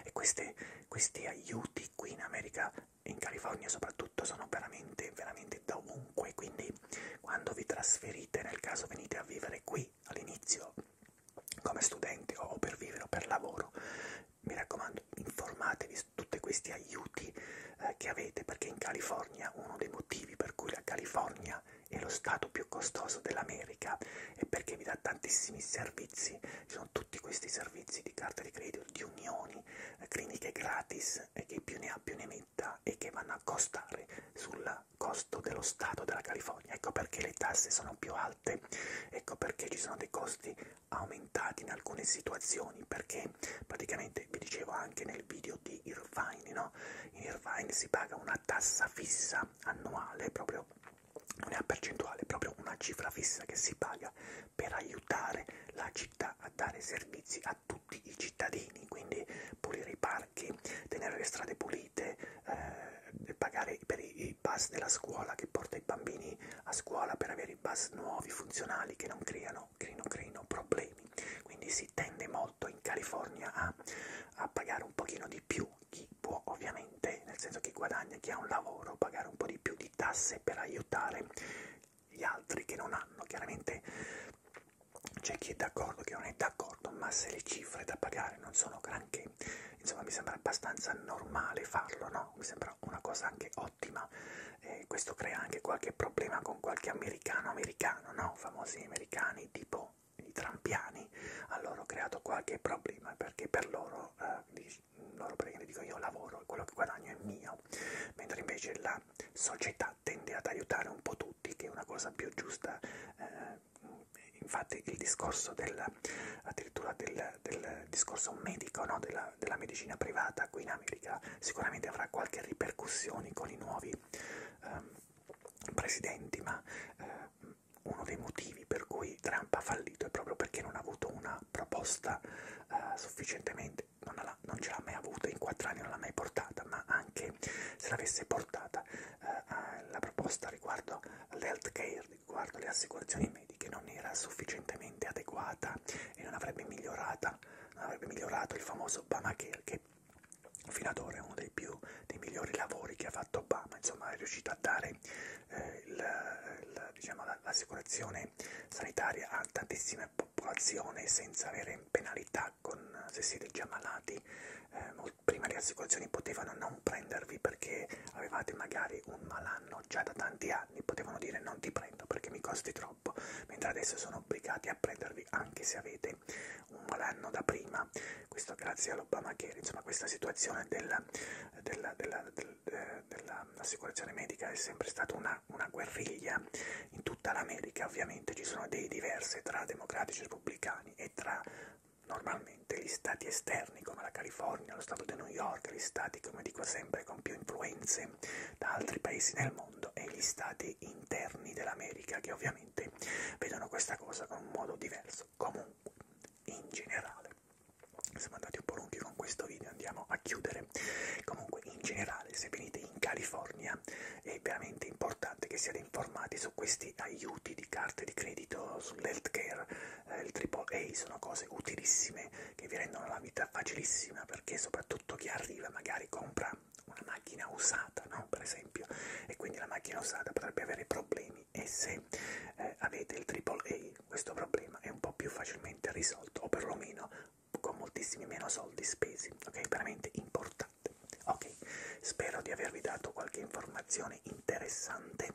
Speaker 1: E queste, questi aiuti qui in America, in California soprattutto, sono veramente, veramente da ovunque, quindi quando vi trasferite, nel caso venite a vivere qui all'inizio come studente o per vivere o per lavoro, mi raccomando informatevi su tutti questi aiuti eh, che avete perché in California uno dei motivi per cui la California è lo stato più costoso dell'America è perché vi dà tantissimi servizi, ci sono tutti questi servizi di carta di credito, di unioni, eh, cliniche gratis e eh, che più ne ha più ne metta e che vanno a costare sul costo dello stato della California, ecco perché le tasse sono più alte, ecco perché ci sono dei costi aumentati in alcune situazioni perché praticamente vi dicevo anche nel video di Irvine no? in Irvine si paga una tassa fissa annuale proprio non è a percentuale è proprio una cifra fissa che si paga per aiutare la città a dare servizi a tutti i cittadini quindi pulire i parchi tenere le strade pulite eh, eh, pagare per i, i bus della scuola che porta i bambini a scuola per avere i bus nuovi, funzionali, che non creano, creino, creino problemi. Quindi si tende molto in California a, a pagare un pochino di più chi può ovviamente, nel senso che guadagna, chi ha un lavoro, pagare un po' di più di tasse per aiutare gli altri che non hanno. Chiaramente c'è chi è d'accordo, chi non è d'accordo, ma se le cifre da pagare non sono granché, che insomma mi sembra abbastanza normale farlo, no? Mi sembra una cosa anche ottima. Eh, questo crea anche qualche problema con qualche americano americano, no? Famosi americani tipo i trampiani a loro ho creato qualche problema perché per loro, eh, loro praticamente dico io lavoro e quello che guadagno è mio mentre invece la società tende ad aiutare un po' tutti che è una cosa più giusta eh, infatti il discorso del addirittura del, del discorso medico, no? della, della medicina privata qui in America, sicuramente avrà qualche ripercussione con i nuovi eh, presidenti, ma eh, uno dei motivi per cui Trump ha fallito è proprio perché non ha avuto una proposta eh, sufficientemente, non, la, non ce l'ha mai avuta, in quattro anni non l'ha mai portata, ma anche se l'avesse portata eh, la proposta riguardo all'health care riguardo le assicurazioni mediche non era sufficientemente adeguata e non avrebbe, non avrebbe migliorato il famoso Obamacare che fino ad ora è uno dei, più, dei migliori lavori che ha fatto Obama, insomma è riuscito a dare eh, diciamo, l'assicurazione la, diciamo, sanitaria a tantissime popolazioni senza avere penalità con, se siete già malati, eh, prima le assicurazioni potevano non prendervi perché avevate magari un malanno hanno già da tanti anni potevano dire non ti prendo perché mi costi troppo, mentre adesso sono obbligati a prendervi anche se avete un malanno da prima. Questo grazie all'Obamacare, insomma questa situazione della, della, della, dell'assicurazione della medica è sempre stata una, una guerriglia in tutta l'America, ovviamente ci sono dei diversi tra democratici e repubblicani e tra normalmente ovviamente gli stati esterni come la California, lo Stato di New York, gli stati come dico sempre con più influenze da altri paesi nel mondo e gli stati interni dell'America che ovviamente vedono questa cosa con un modo diverso. Comunque, in generale, siamo andati un po' lunghi con questo video, andiamo a chiudere. Comunque, in generale, se venite in California è veramente importante che siate informati su questi aiuti di carte di credito, sull'healthcare eh, il triple A sono cose utilissime che vi rendono la vita facilissima perché soprattutto chi arriva magari compra una macchina usata, no? per esempio, e quindi la macchina usata potrebbe avere problemi e se eh, avete il AAA questo problema è un po' più facilmente risolto o perlomeno con moltissimi meno soldi spesi, ok? Veramente importante. Ok, spero di avervi dato qualche informazione interessante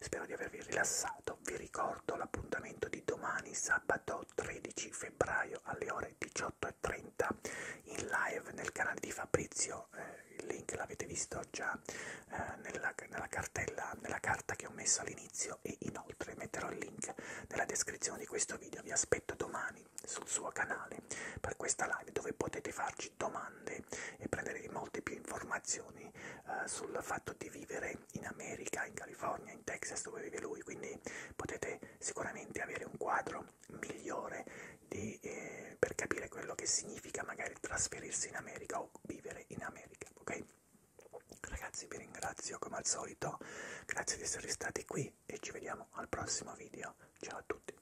Speaker 1: Spero di avervi rilassato, vi ricordo l'appuntamento di domani sabato 13 febbraio alle ore 18.30 in live nel canale di Fabrizio, eh, il link l'avete visto già eh, nella, nella, cartella, nella carta che ho messo all'inizio e inoltre metterò il link nella descrizione di questo video, vi aspetto domani sul suo canale per questa live dove potete farci domande e, e prenderete molte più informazioni eh, sul fatto di vivere in America, in California, in Texas dove vive lui, quindi potete sicuramente avere un quadro migliore di, eh, per capire quello che significa magari trasferirsi in America o vivere in America, ok? Ragazzi vi ringrazio come al solito, grazie di essere stati qui e ci vediamo al prossimo video. Ciao a tutti!